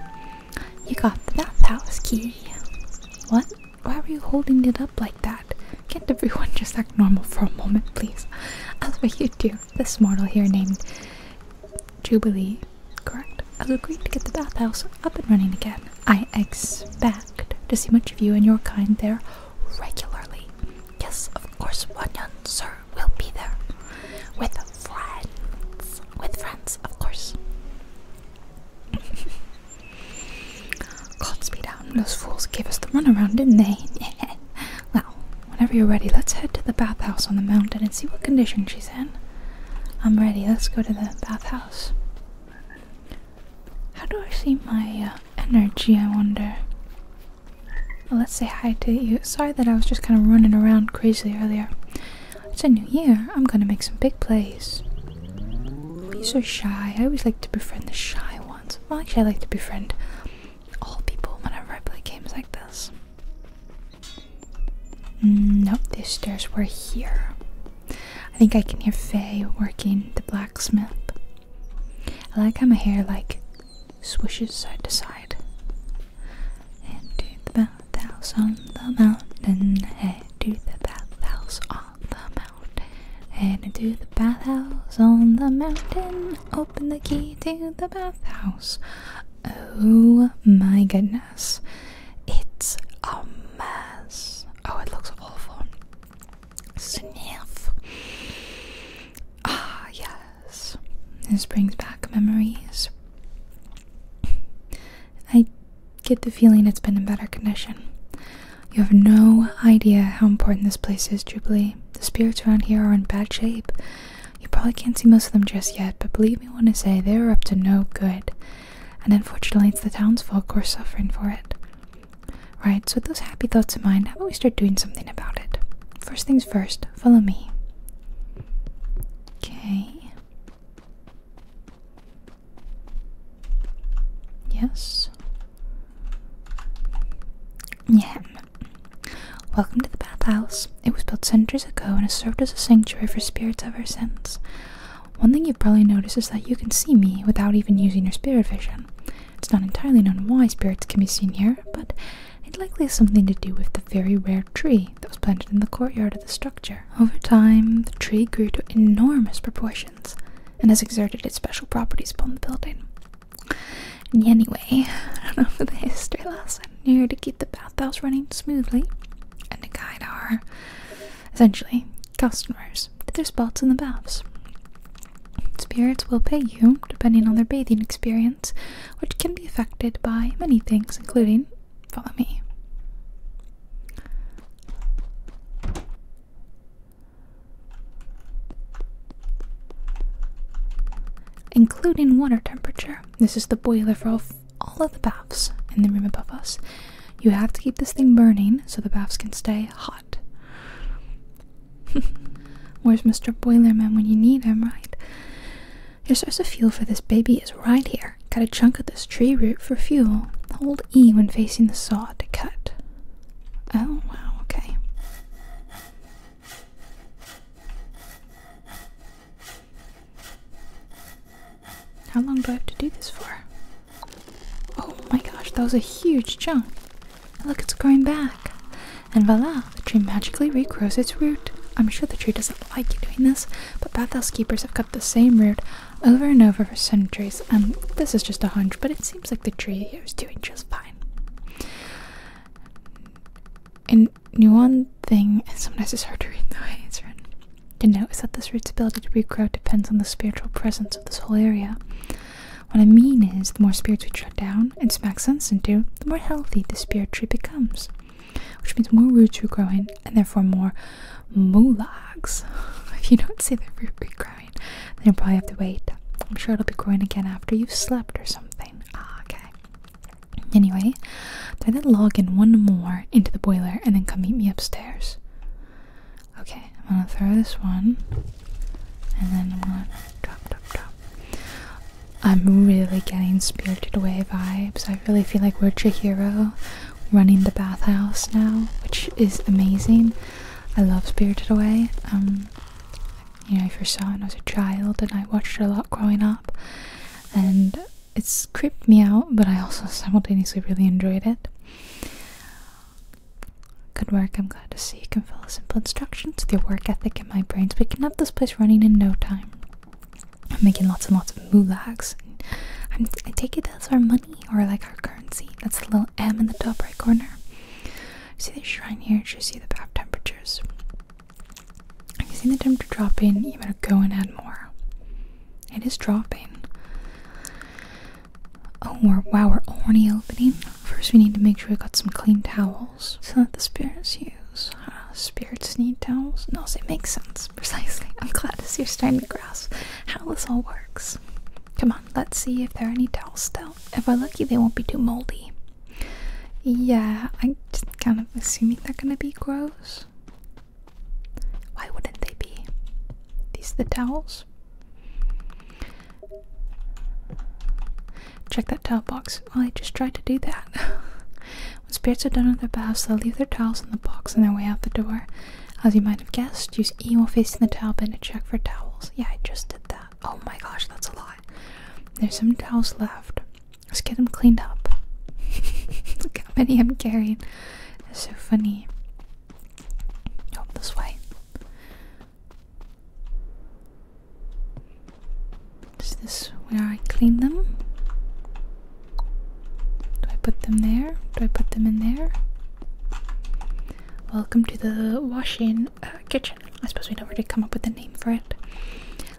You got the bathhouse key. What? Why were you holding it up like that? Can't everyone just act normal for a moment, please? As what you do, this mortal here named Jubilee, correct? i Has agreed to get the bathhouse up and running again. I expect to see much of you and your kind there regularly. Yes, of course, Wanyan, sir, will be there. With friends. With friends, of course. Can't speed those fools gave us the runaround, didn't they? well, whenever you're ready, let's head to the bathhouse on the mountain and see what condition she's in. I'm ready, let's go to the bathhouse. How do I see my uh, energy, I wonder? let's say hi to you. Sorry that I was just kind of running around crazily earlier. It's a new year. I'm gonna make some big plays. Bees are shy. I always like to befriend the shy ones. Well, actually, I like to befriend all people whenever I play games like this. Mm, nope, these stairs were here. I think I can hear Faye working the blacksmith. I like how my hair like swishes side to side. And do the back bathhouse on the mountain, head to the bathhouse on the mountain, head the bathhouse on the mountain, open the key to the bathhouse. Oh my goodness, it's a mess. Oh, it looks awful. Sniff. Ah, yes. This brings back memories. I get the feeling it's been in better condition. You have no idea how important this place is, Jubilee. The spirits around here are in bad shape. You probably can't see most of them just yet, but believe me when I say they are up to no good. And unfortunately, it's the townsfolk who are suffering for it. Right, so with those happy thoughts in mind, how about we start doing something about it? First things first, follow me. Okay. Yes. Yeah. Welcome to the bathhouse. It was built centuries ago and has served as a sanctuary for spirits ever since. One thing you've probably noticed is that you can see me without even using your spirit vision. It's not entirely known why spirits can be seen here, but it likely has something to do with the very rare tree that was planted in the courtyard of the structure. Over time, the tree grew to enormous proportions and has exerted its special properties upon the building. anyway, I don't know for the history lesson here to keep the bathhouse running smoothly and to guide our, essentially, customers to their spots in the baths. Spirits will pay you depending on their bathing experience, which can be affected by many things, including Follow me. Including water temperature. This is the boiler for all of the baths in the room above us. You have to keep this thing burning so the baths can stay hot. Where's Mr. Boilerman when you need him, right? Your source of fuel for this baby is right here. Got a chunk of this tree root for fuel. Hold E when facing the saw to cut. Oh, wow, okay. How long do I have to do this for? Oh my gosh, that was a huge chunk. Look, it's growing back. And voila, the tree magically regrows its root. I'm sure the tree doesn't like you doing this, but bathhouse keepers have cut the same root over and over for centuries. and um, this is just a hunch, but it seems like the tree here is doing just fine. And one thing, sometimes it's hard to read the way it's To note is that this root's ability to regrow depends on the spiritual presence of this whole area. What I mean is, the more spirits we shut down and smack sense into, the more healthy the spirit tree becomes, which means more roots are growing and therefore more Moolahs. If you don't see the root root growing, then you'll probably have to wait. I'm sure it'll be growing again after you've slept or something. Ah, okay. Anyway, throw to log in one more into the boiler and then come meet me upstairs. Okay, I'm gonna throw this one and then I'm gonna I'm really getting spirited away vibes. I really feel like we're Chihiro running the bathhouse now, which is amazing. I love Spirited Away. Um, you know, I first saw it when I was a child, and I watched it a lot growing up, and it's creeped me out, but I also simultaneously really enjoyed it. Good work, I'm glad to see you can follow simple instructions with your work ethic and my brains. We can have this place running in no time. I'm making lots and lots of moolags. I'm, I take it that's our money or like our currency. That's the little M in the top right corner. See the shrine here, it shows you the bath temperatures. If you see the temperature drop in, you better go and add more. It is dropping. Oh, we're, wow, we're already opening. First, we need to make sure we got some clean towels so that the spirits use. Uh, spirits need towels? No, so it makes sense, precisely. I'm glad to see you're starting to grasp how this all works. Come on, let's see if there are any towels still. If I'm lucky, they won't be too moldy. Yeah, I'm kind of assuming they're gonna be gross. Why wouldn't they be? These are the towels. Check that towel box. Oh, I just tried to do that. when spirits are done with their baths, they'll leave their towels in the box on their way out the door. As you might have guessed, use E while facing the towel bin to check for towels. Yeah, I just did that. Oh my gosh, that's a lot. There's some towels left. Let's get them cleaned up. Look how many I'm carrying. It's so funny. Oh, this way. Is this where I clean them? Do I put them there? Do I put them in there? Welcome to the washing uh, kitchen. I suppose we don't really come up with a name for it.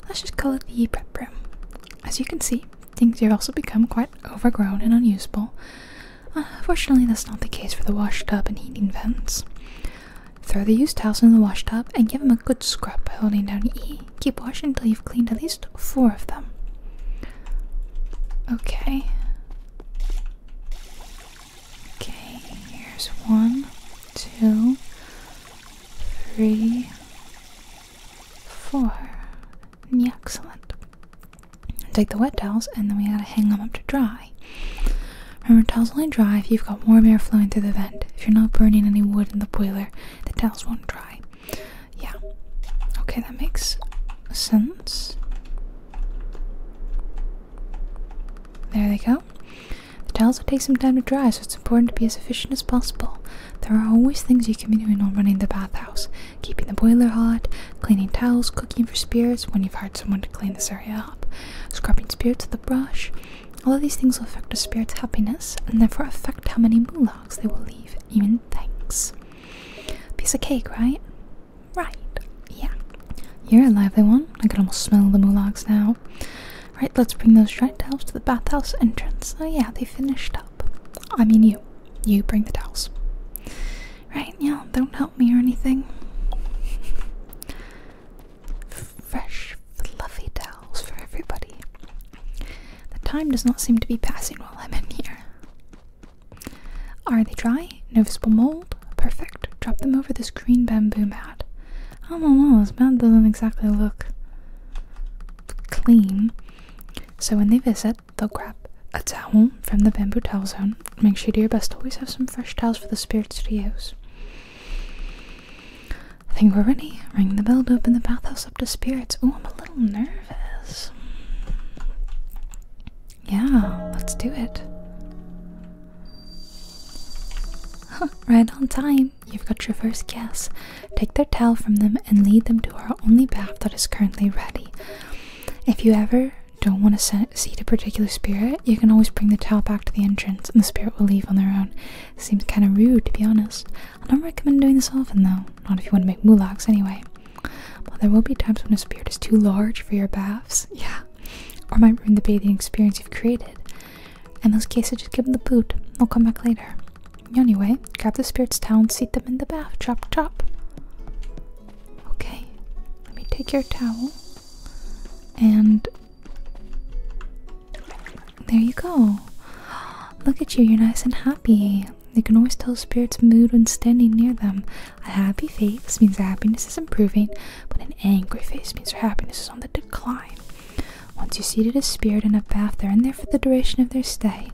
Let's just call it the prep room. As you can see, things have also become quite overgrown and unusable. Unfortunately, that's not the case for the wash tub and heating vents. Throw the used towels in the wash tub and give them a good scrub by holding down E. Keep washing until you've cleaned at least four of them. Okay. Okay, here's one, two, three, four. Yeah, excellent. Take the wet towels and then we gotta hang them up to dry. Remember, towels only dry if you've got warm air flowing through the vent. If you're not burning any wood in the boiler, the towels won't dry. Yeah. Okay, that makes sense. There they go. The towels will take some time to dry, so it's important to be as efficient as possible. There are always things you can be doing while running the bathhouse. Keeping the boiler hot, cleaning towels, cooking for spirits when you've hired someone to clean this area up, scrubbing spirits with a brush. All of these things will affect the spirit's happiness and therefore affect how many moologs they will leave, even thanks. Piece of cake, right? Right. Yeah. You're a lively one. I can almost smell the mullocks now. Right, let's bring those dried towels to the bathhouse entrance. Oh yeah, they finished up. I mean you. You bring the towels. Right, yeah, don't help me or anything. Fresh, fluffy towels for everybody. The time does not seem to be passing while I'm in here. Are they dry? No visible mold? Perfect. Drop them over this green bamboo mat. I oh, don't this mat doesn't exactly look clean. So when they visit, they'll grab a towel from the bamboo towel zone. Make sure you do your best to always have some fresh towels for the spirits to use. I think we're ready. Ring the bell to open the bathhouse up to spirits. Oh, I'm a little nervous. Yeah, let's do it. right on time. You've got your first guess. Take their towel from them and lead them to our only bath that is currently ready. If you ever don't want to see a particular spirit, you can always bring the towel back to the entrance and the spirit will leave on their own. Seems kind of rude to be honest. I don't recommend doing this often though, not if you want to make moolocks anyway. Well, there will be times when a spirit is too large for your baths, yeah, or might ruin the bathing experience you've created. In those cases, just give them the boot. They'll come back later. Anyway, grab the spirit's towel seat them in the bath. Chop, chop. Okay, let me take your towel. And there you go. Look at you, you're nice and happy. They can always tell a spirit's mood when standing near them. A happy face means their happiness is improving, but an angry face means their happiness is on the decline. Once you seated a spirit in a bath, they're in there for the duration of their stay.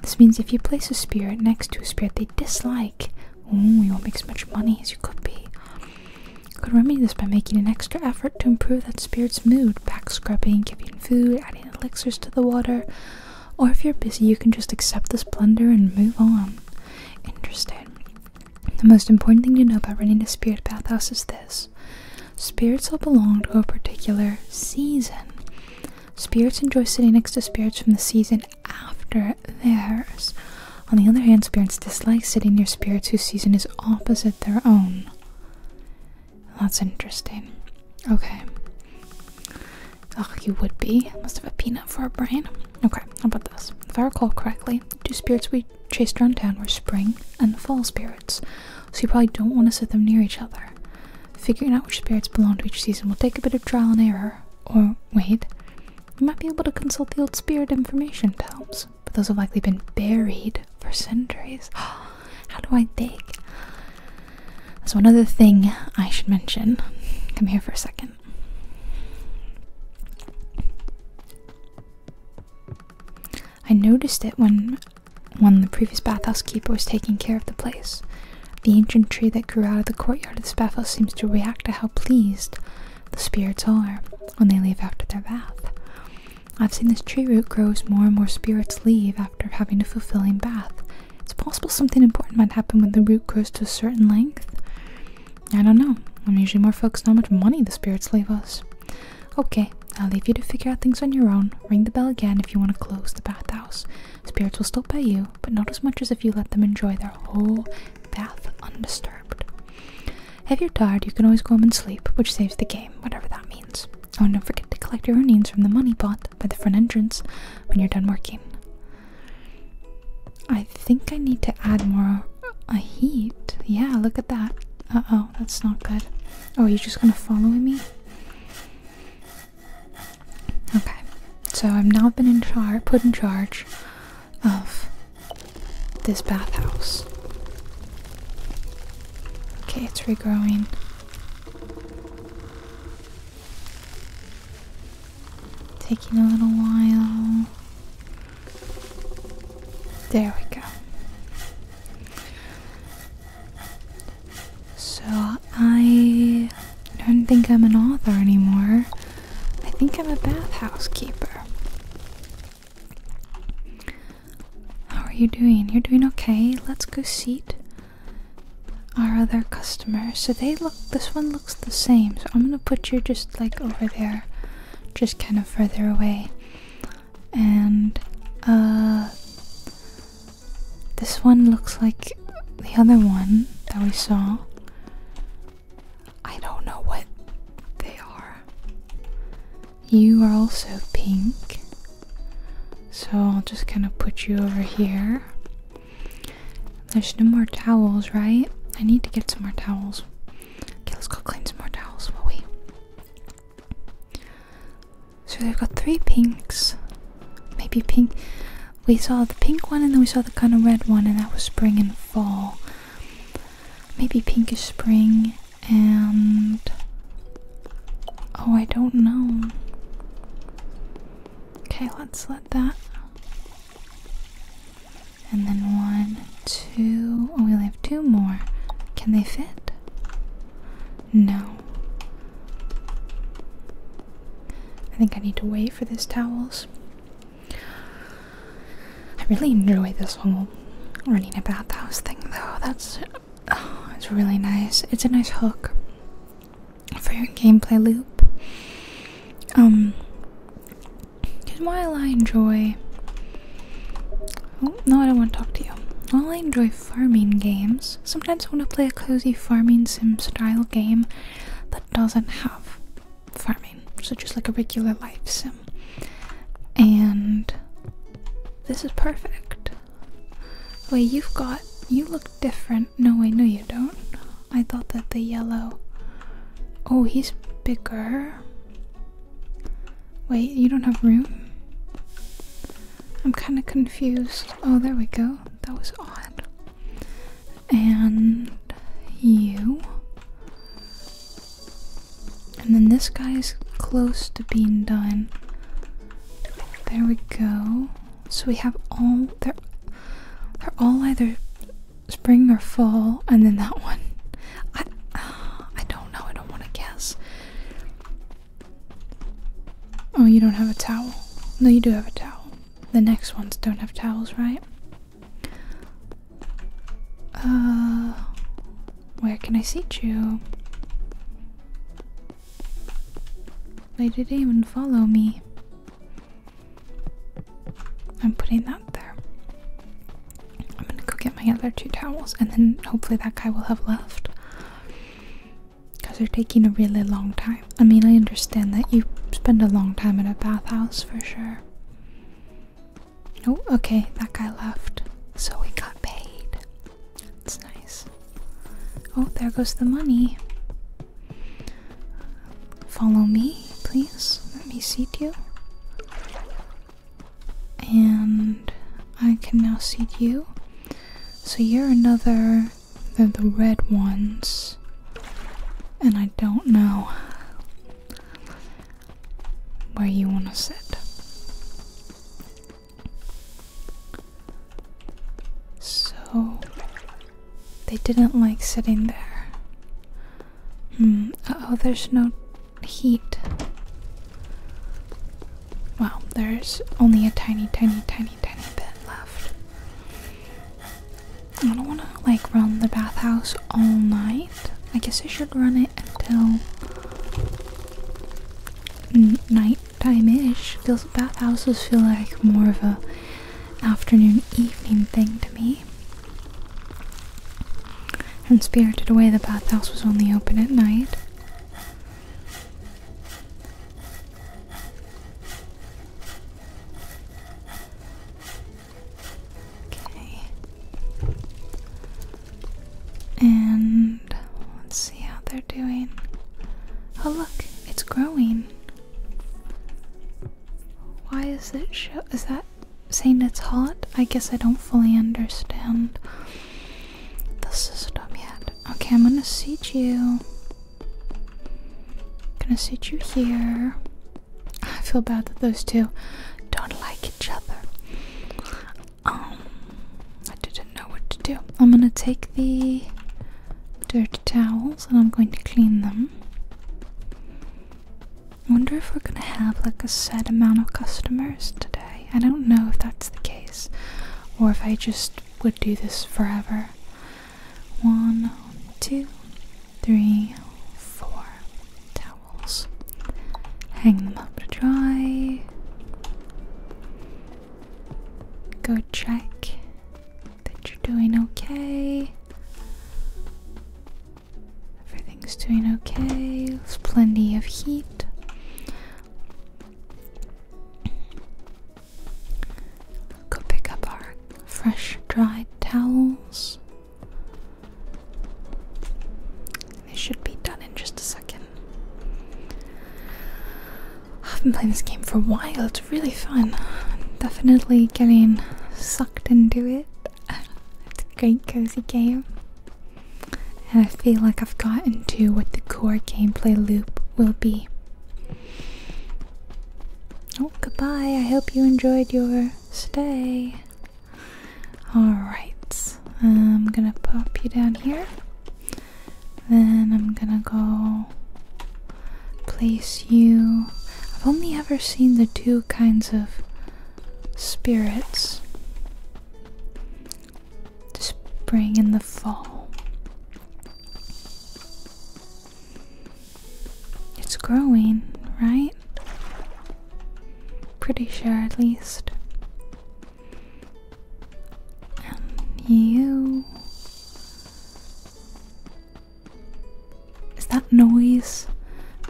This means if you place a spirit next to a spirit they dislike, ooh, you won't make as much money as you could be. You could remedy this by making an extra effort to improve that spirit's mood, back scrubbing, giving food, adding elixirs to the water. Or if you're busy, you can just accept this blunder and move on. Interesting. The most important thing to know about running a spirit bathhouse is this spirits all belong to a particular season. Spirits enjoy sitting next to spirits from the season after theirs. On the other hand, spirits dislike sitting near spirits whose season is opposite their own. That's interesting. Okay. Oh, you would be. Must have a peanut for a brain. Okay, how about this? If I recall correctly, the two spirits we chased around town were spring and fall spirits, so you probably don't want to sit them near each other. Figuring out which spirits belong to each season will take a bit of trial and error. Or, wait, you might be able to consult the old spirit information tomes, but those have likely been buried for centuries. How do I dig? There's one other thing I should mention. Come here for a second. I noticed it when when the previous bathhouse keeper was taking care of the place. The ancient tree that grew out of the courtyard of this bathhouse seems to react to how pleased the spirits are when they leave after their bath. I've seen this tree root grow as more and more spirits leave after having a fulfilling bath, it's possible something important might happen when the root grows to a certain length. I don't know. I'm usually more focused on how much money the spirits leave us. Okay, I'll leave you to figure out things on your own. Ring the bell again if you want to close the bathhouse. Spirits will still pay you, but not as much as if you let them enjoy their whole bath undisturbed. If you're tired, you can always go home and sleep, which saves the game, whatever that means. Oh, and don't forget to collect your earnings from the money pot by the front entrance when you're done working. I think I need to add more a uh, heat. Yeah, look at that. Uh oh, that's not good. Oh, you're just gonna follow me? Okay, so I've now been in charge, put in charge of this bathhouse. Okay, it's regrowing. Taking a little while. There we go. So I don't think I'm an author anymore. I think I'm a bathhouse keeper. How are you doing? You're doing okay. Let's go seat our other customers. So they look, this one looks the same. So I'm gonna put you just like over there, just kind of further away. And uh, this one looks like the other one that we saw. I don't know what they are. You are also pink. So I'll just kind of put you over here. There's no more towels, right? I need to get some more towels. Okay, let's go clean some more towels while we. So we have got three pinks. Maybe pink. We saw the pink one and then we saw the kind of red one, and that was spring and fall. Maybe pink is spring and. Oh, I don't know. Okay, let's let that and then one, two. Oh, we only have two more. Can they fit? No. I think I need to wait for these towels. I really enjoy this whole running a bathhouse thing, though. That's. Oh, it's really nice. It's a nice hook for your gameplay loop. Um, because while I enjoy, oh no, I don't want to talk to you. While I enjoy farming games, sometimes I want to play a cozy farming sim style game that doesn't have farming, so just like a regular life sim. And this is perfect. Wait, you've got you look different. No, I know you don't. I thought that the yellow. Oh, he's bigger. Wait, you don't have room? I'm kind of confused. Oh, there we go. That was odd. And you. And then this guy is close to being done. There we go. So we have all they're they're all either spring or fall, and then that one. I I don't know. I don't want to guess. Oh, you don't have a towel. No, you do have a towel. The next ones don't have towels, right? Uh, where can I seat you? They didn't even follow me. I'm putting that there. I'm gonna go get my other two towels and then hopefully that guy will have left. Because they're taking a really long time. I mean, I understand that you spend a long time at a bathhouse for sure. Oh, okay, that guy left. So we got paid. That's nice. Oh, there goes the money. Follow me, please. Let me seat you. And I can now seat you. So you're another. of the red ones. And I don't know where you want to sit. So they didn't like sitting there. Hmm, oh, there's no heat. Well, there's only a tiny, tiny, tiny, tiny bit left. I don't want to like run the bathhouse all night. I guess I should run it until night time ish. Those bathhouses feel like more of a afternoon evening thing to me. And spirited away, the bathhouse was only open at night. Okay. And let's see how they're doing. Oh, look, it's growing. Why is it show? Is that saying it's hot? I guess I don't fully understand the system yet. Okay, I'm gonna seat you. Gonna seat you here. I feel bad that those two don't like each other. Um, I didn't know what to do. I'm gonna take the dirty towels and I'm going to clean them. I wonder if we're gonna have like a set amount of customers today. I don't know if that's the case or if I just would do this forever. One, two, three, four towels. Hang them up to dry. Go check that you're doing okay. Everything's doing okay. There's plenty of heat. Go pick up our fresh, dried towels. They should be done in just a second. I've been playing this game for a while, it's really fun. definitely getting sucked into it. it's a great cozy game. And I feel like I've gotten to what the core gameplay loop will be. Oh, goodbye. I hope you enjoyed your stay. Alright, I'm gonna pop you down here. Then I'm gonna go place you. I've only ever seen the two kinds of spirits the spring and the fall. It's growing, right? Pretty sure, at least. you. Is that noise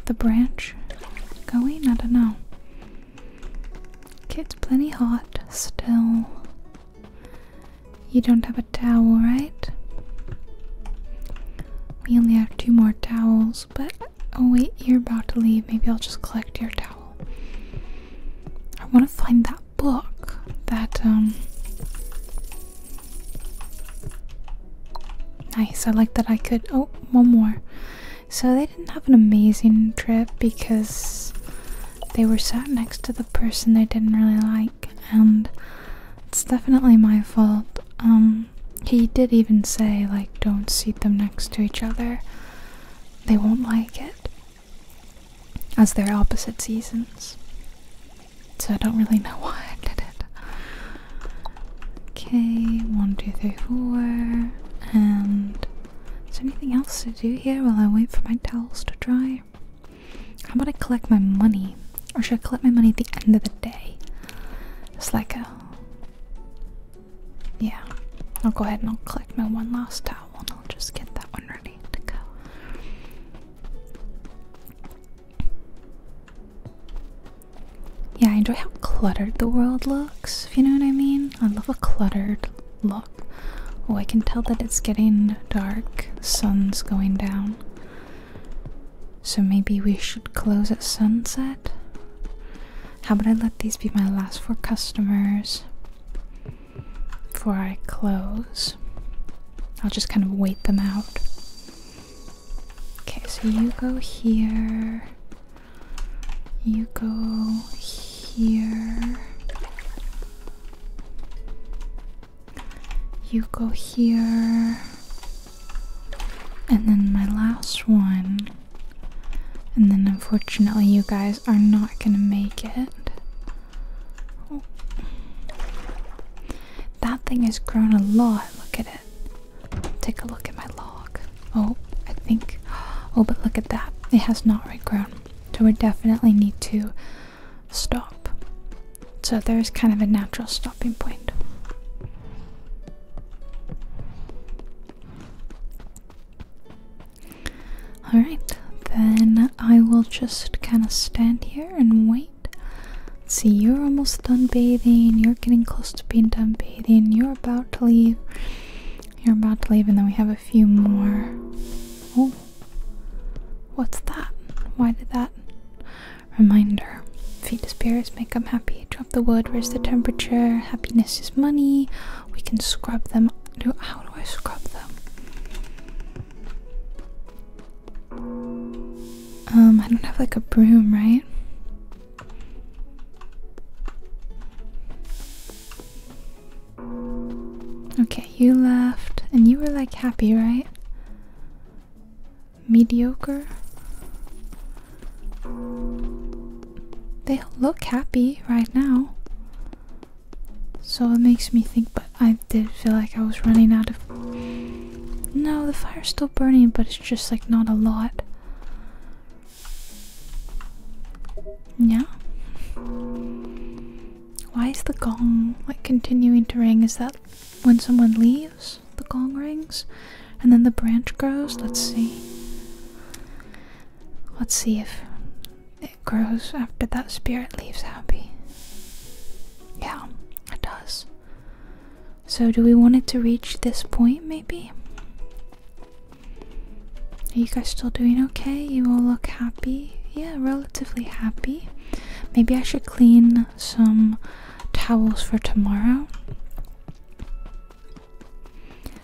the branch going? I don't know. Okay, it's plenty hot still. You don't have a towel, right? We only have two more towels, but oh wait, you're about to leave. Maybe I'll just collect your towel. I want to find that book that um Nice, I like that I could. Oh, one more. So they didn't have an amazing trip because they were sat next to the person they didn't really like, and it's definitely my fault. Um, he did even say, like, don't seat them next to each other, they won't like it, as they're opposite seasons so I don't really know why I did it. Okay, one, two, three, four. And is there anything else to do here while I wait for my towels to dry? How about I collect my money? Or should I collect my money at the end of the day? It's like a. Yeah. I'll go ahead and I'll collect my one last towel and I'll just get that one ready to go. Yeah, I enjoy how cluttered the world looks, if you know what I mean. I love a cluttered look. Oh, I can tell that it's getting dark. The sun's going down. So maybe we should close at sunset? How about I let these be my last four customers before I close? I'll just kind of wait them out. Okay, so you go here. You go here. You go here. And then my last one. And then unfortunately, you guys are not gonna make it. Oh. That thing has grown a lot. Look at it. Take a look at my log. Oh, I think. Oh, but look at that. It has not regrown. So we definitely need to stop. So there's kind of a natural stopping point. Alright, then I will just kind of stand here and wait see, you're almost done bathing, you're getting close to being done bathing, you're about to leave. You're about to leave, and then we have a few more. Oh, what's that? Why did that? Reminder Feed the spirits, make them happy. Drop the wood, Where's the temperature. Happiness is money. We can scrub them. Do, how do I scrub them? Um, I don't have like a broom, right? Okay, you left and you were like happy, right? Mediocre? They look happy right now. So it makes me think, but I did feel like I was running out of no, the fire's still burning, but it's just like not a lot. Yeah? Why is the gong like continuing to ring? Is that when someone leaves? The gong rings? And then the branch grows? Let's see. Let's see if it grows after that spirit leaves happy. Yeah, it does. So, do we want it to reach this point maybe? Are you guys still doing okay? You all look happy. Yeah, relatively happy. Maybe I should clean some towels for tomorrow.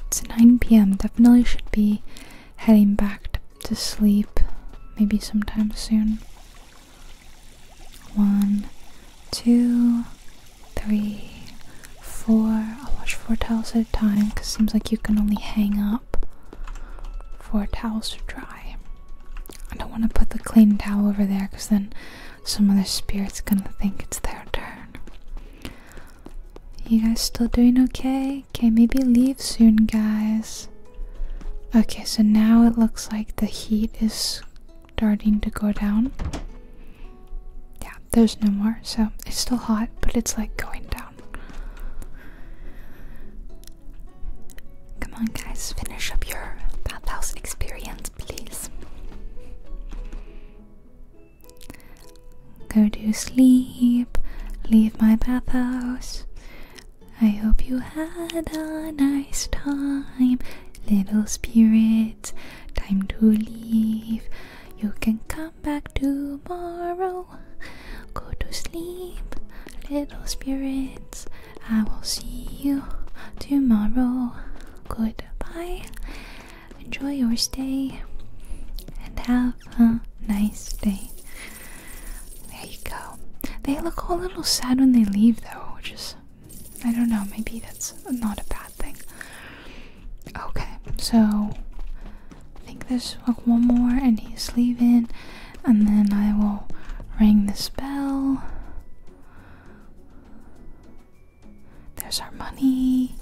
It's 9 pm. Definitely should be heading back to sleep maybe sometime soon. One, two, three, four. I'll wash four towels at a time because it seems like you can only hang up four towels to dry. I don't want to put the clean towel over there because then some other spirit's gonna think it's their turn. You guys still doing okay? Okay, maybe leave soon, guys. Okay, so now it looks like the heat is starting to go down. Yeah, there's no more, so it's still hot, but it's like going down. Come on, guys, finish up your bathhouse experience, please. Go to sleep, leave my bathhouse. I hope you had a nice time. Little spirits, time to leave. You can come back tomorrow. Go to sleep, little spirits. I will see you tomorrow. Goodbye. Enjoy your stay and have a nice day. There you go. They look a little sad when they leave, though, which is I don't know, maybe that's not a bad thing. Okay, so I think there's like one more and he's leaving, and then I will ring this bell. There's our money.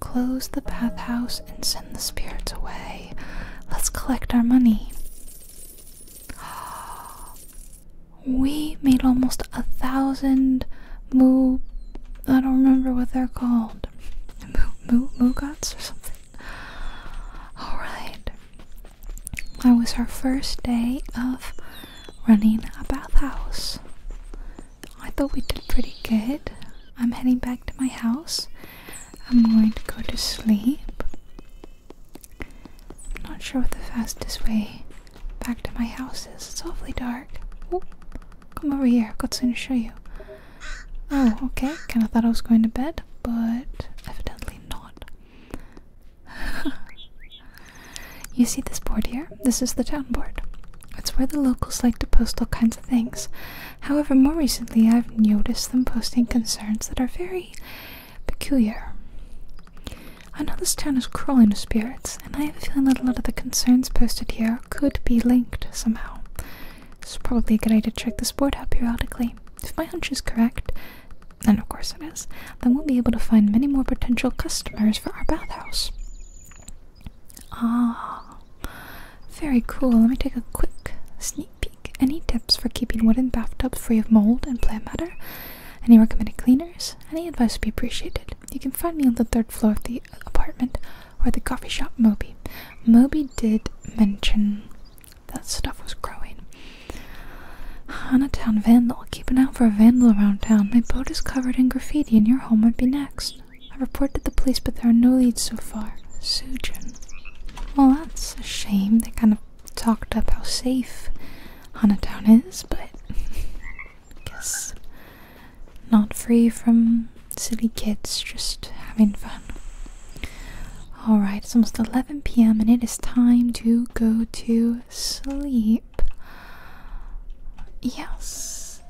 Close the bathhouse and send the spirits away. Let's collect our money. we made almost a thousand moo I don't remember what they're called. Moo moo gods or something. Alright. That was our first day of running a bathhouse. I thought we did pretty good. I'm heading back to my house. I'm going to go to sleep. I'm not sure what the fastest way back to my house is. It's awfully dark. Oh, come over here. I've got something to show you. Oh, okay. Kind of thought I was going to bed, but evidently not. you see this board here? This is the town board. It's where the locals like to post all kinds of things. However, more recently I've noticed them posting concerns that are very peculiar. I know this town is crawling with spirits, and I have a feeling that a lot of the concerns posted here could be linked somehow. It's probably a good idea to check this board out periodically. If my hunch is correct, and of course it is, then we'll be able to find many more potential customers for our bathhouse. Ah, very cool. Let me take a quick sneak peek. Any tips for keeping wooden bathtubs free of mold and plant matter? Any recommended cleaners? Any advice would be appreciated. You can find me on the third floor of the apartment or the coffee shop Moby. Moby did mention that stuff was growing. Town Vandal. Keep an eye for a vandal around town. My boat is covered in graffiti and your home might be next. I reported the police, but there are no leads so far. Sujin. Well, that's a shame. They kind of talked up how safe Town is, but I guess not free from silly kids just having fun. Alright, it's almost 11 pm and it is time to go to sleep. Yes.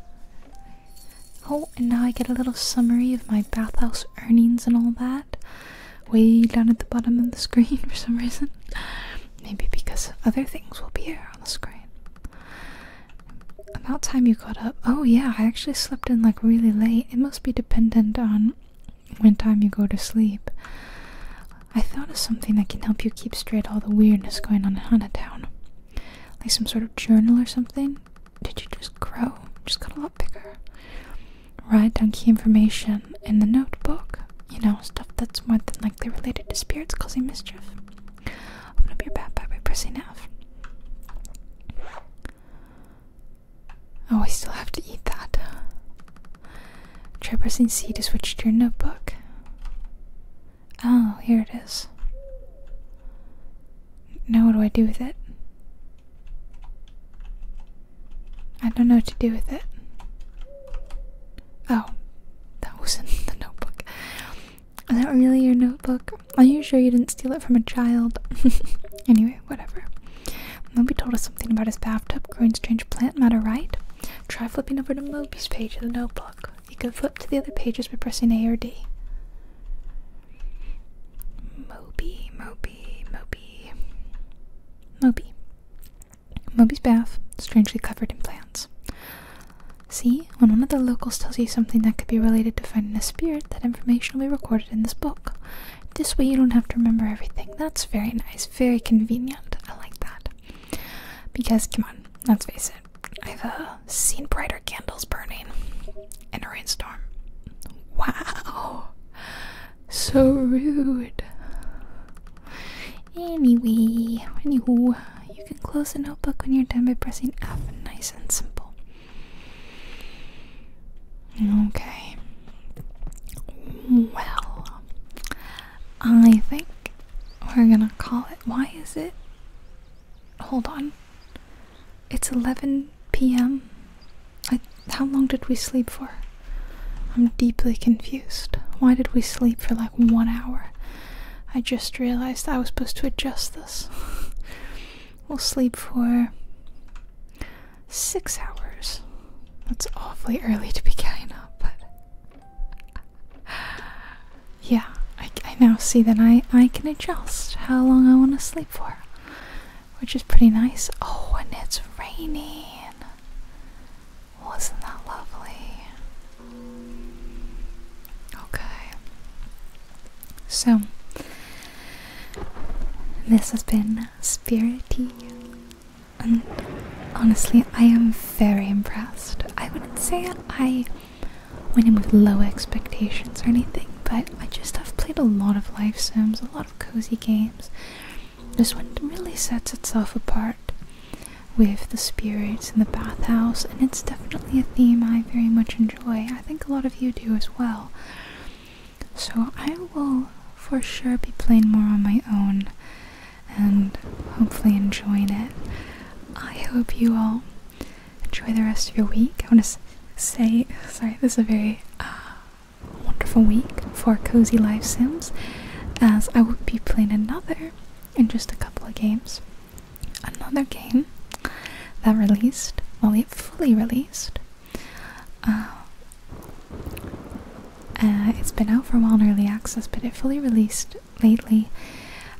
Oh, and now I get a little summary of my bathhouse earnings and all that way down at the bottom of the screen for some reason. Maybe because other things will be here on the screen. About time you got up. Oh yeah, I actually slept in like really late. It must be dependent on when time you go to sleep. I thought of something that can help you keep straight all the weirdness going on in Town. Like some sort of journal or something. Did you just grow? Just got a lot bigger. Write down key information in the notebook. You know, stuff that's more than like likely related to spirits causing mischief. I'm Open up your backpack by pressing F. Oh, I still have to eat that. Try pressing C to switch to your notebook. Oh, here it is. Now, what do I do with it? I don't know what to do with it. Oh, that wasn't the notebook. Is that really your notebook? Are you sure you didn't steal it from a child? anyway, whatever. Moby told us something about his bathtub growing strange plant matter, right? Try flipping over to Moby's page of the notebook. You can flip to the other pages by pressing A or D. Moby, Moby, Moby. Moby. Moby's bath, strangely covered in plants. See, when one of the locals tells you something that could be related to finding a spirit, that information will be recorded in this book. This way you don't have to remember everything. That's very nice, very convenient. I like that. Because, come on, let's face it, I've uh, seen brighter candles burning in a rainstorm. Wow! So rude. Anyway, anywho, you can close the notebook when you're done by pressing F. Nice and simple. Okay. Well, I think we're gonna call it. Why is it? Hold on. It's 11 p.m. how long did we sleep for? I'm deeply confused. Why did we sleep for like one hour? I just realized I was supposed to adjust this. we'll sleep for six hours. That's awfully early to be getting up, but yeah, I, now see that I I can adjust how long I want to sleep for, which is pretty nice. Oh, and it's raining. Wasn't that lovely? Okay. So, this has been Spirity, and honestly, I am very impressed. I wouldn't say I went in with low expectations or anything, but I just have played a lot of life sims, a lot of cozy games. This one really sets itself apart with the spirits in the bathhouse, and it's definitely a theme I very much enjoy. I think a lot of you do as well. So I will for sure be playing more on my own and hopefully enjoying it. I hope you all enjoy the rest of your week. I want to say, sorry, this is a very uh, wonderful week for Cozy Life Sims as I will be playing another in just a couple of games. Another game that released, well, it fully released. Uh, uh, it's been out for a while in early access, but it fully released lately.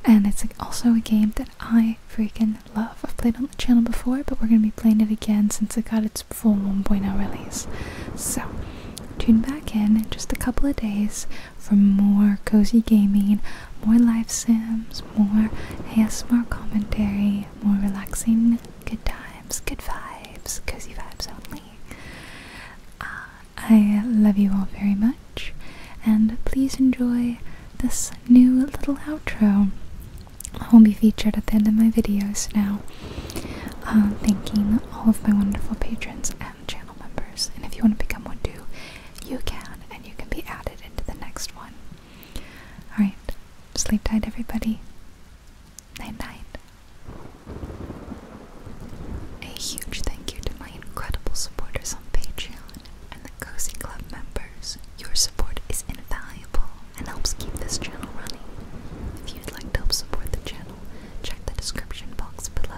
And it's also a game that I freaking love. I've played on the channel before, but we're going to be playing it again since it got its full 1.0 release. So, tune back in in just a couple of days for more cozy gaming, more live sims, more ASMR commentary, more relaxing good times, good vibes, cozy vibes only. Uh, I love you all very much, and please enjoy this new little outro. will be featured at the end of my videos now. Uh, thanking all of my wonderful patrons channel members, and if you want to become one too, you can, and you can be added into the next one. Alright, sleep tight, everybody. Night night. A huge thank you to my incredible supporters on Patreon and the Cozy Club members. Your support is invaluable and helps keep this channel running. If you'd like to help support the channel, check the description box below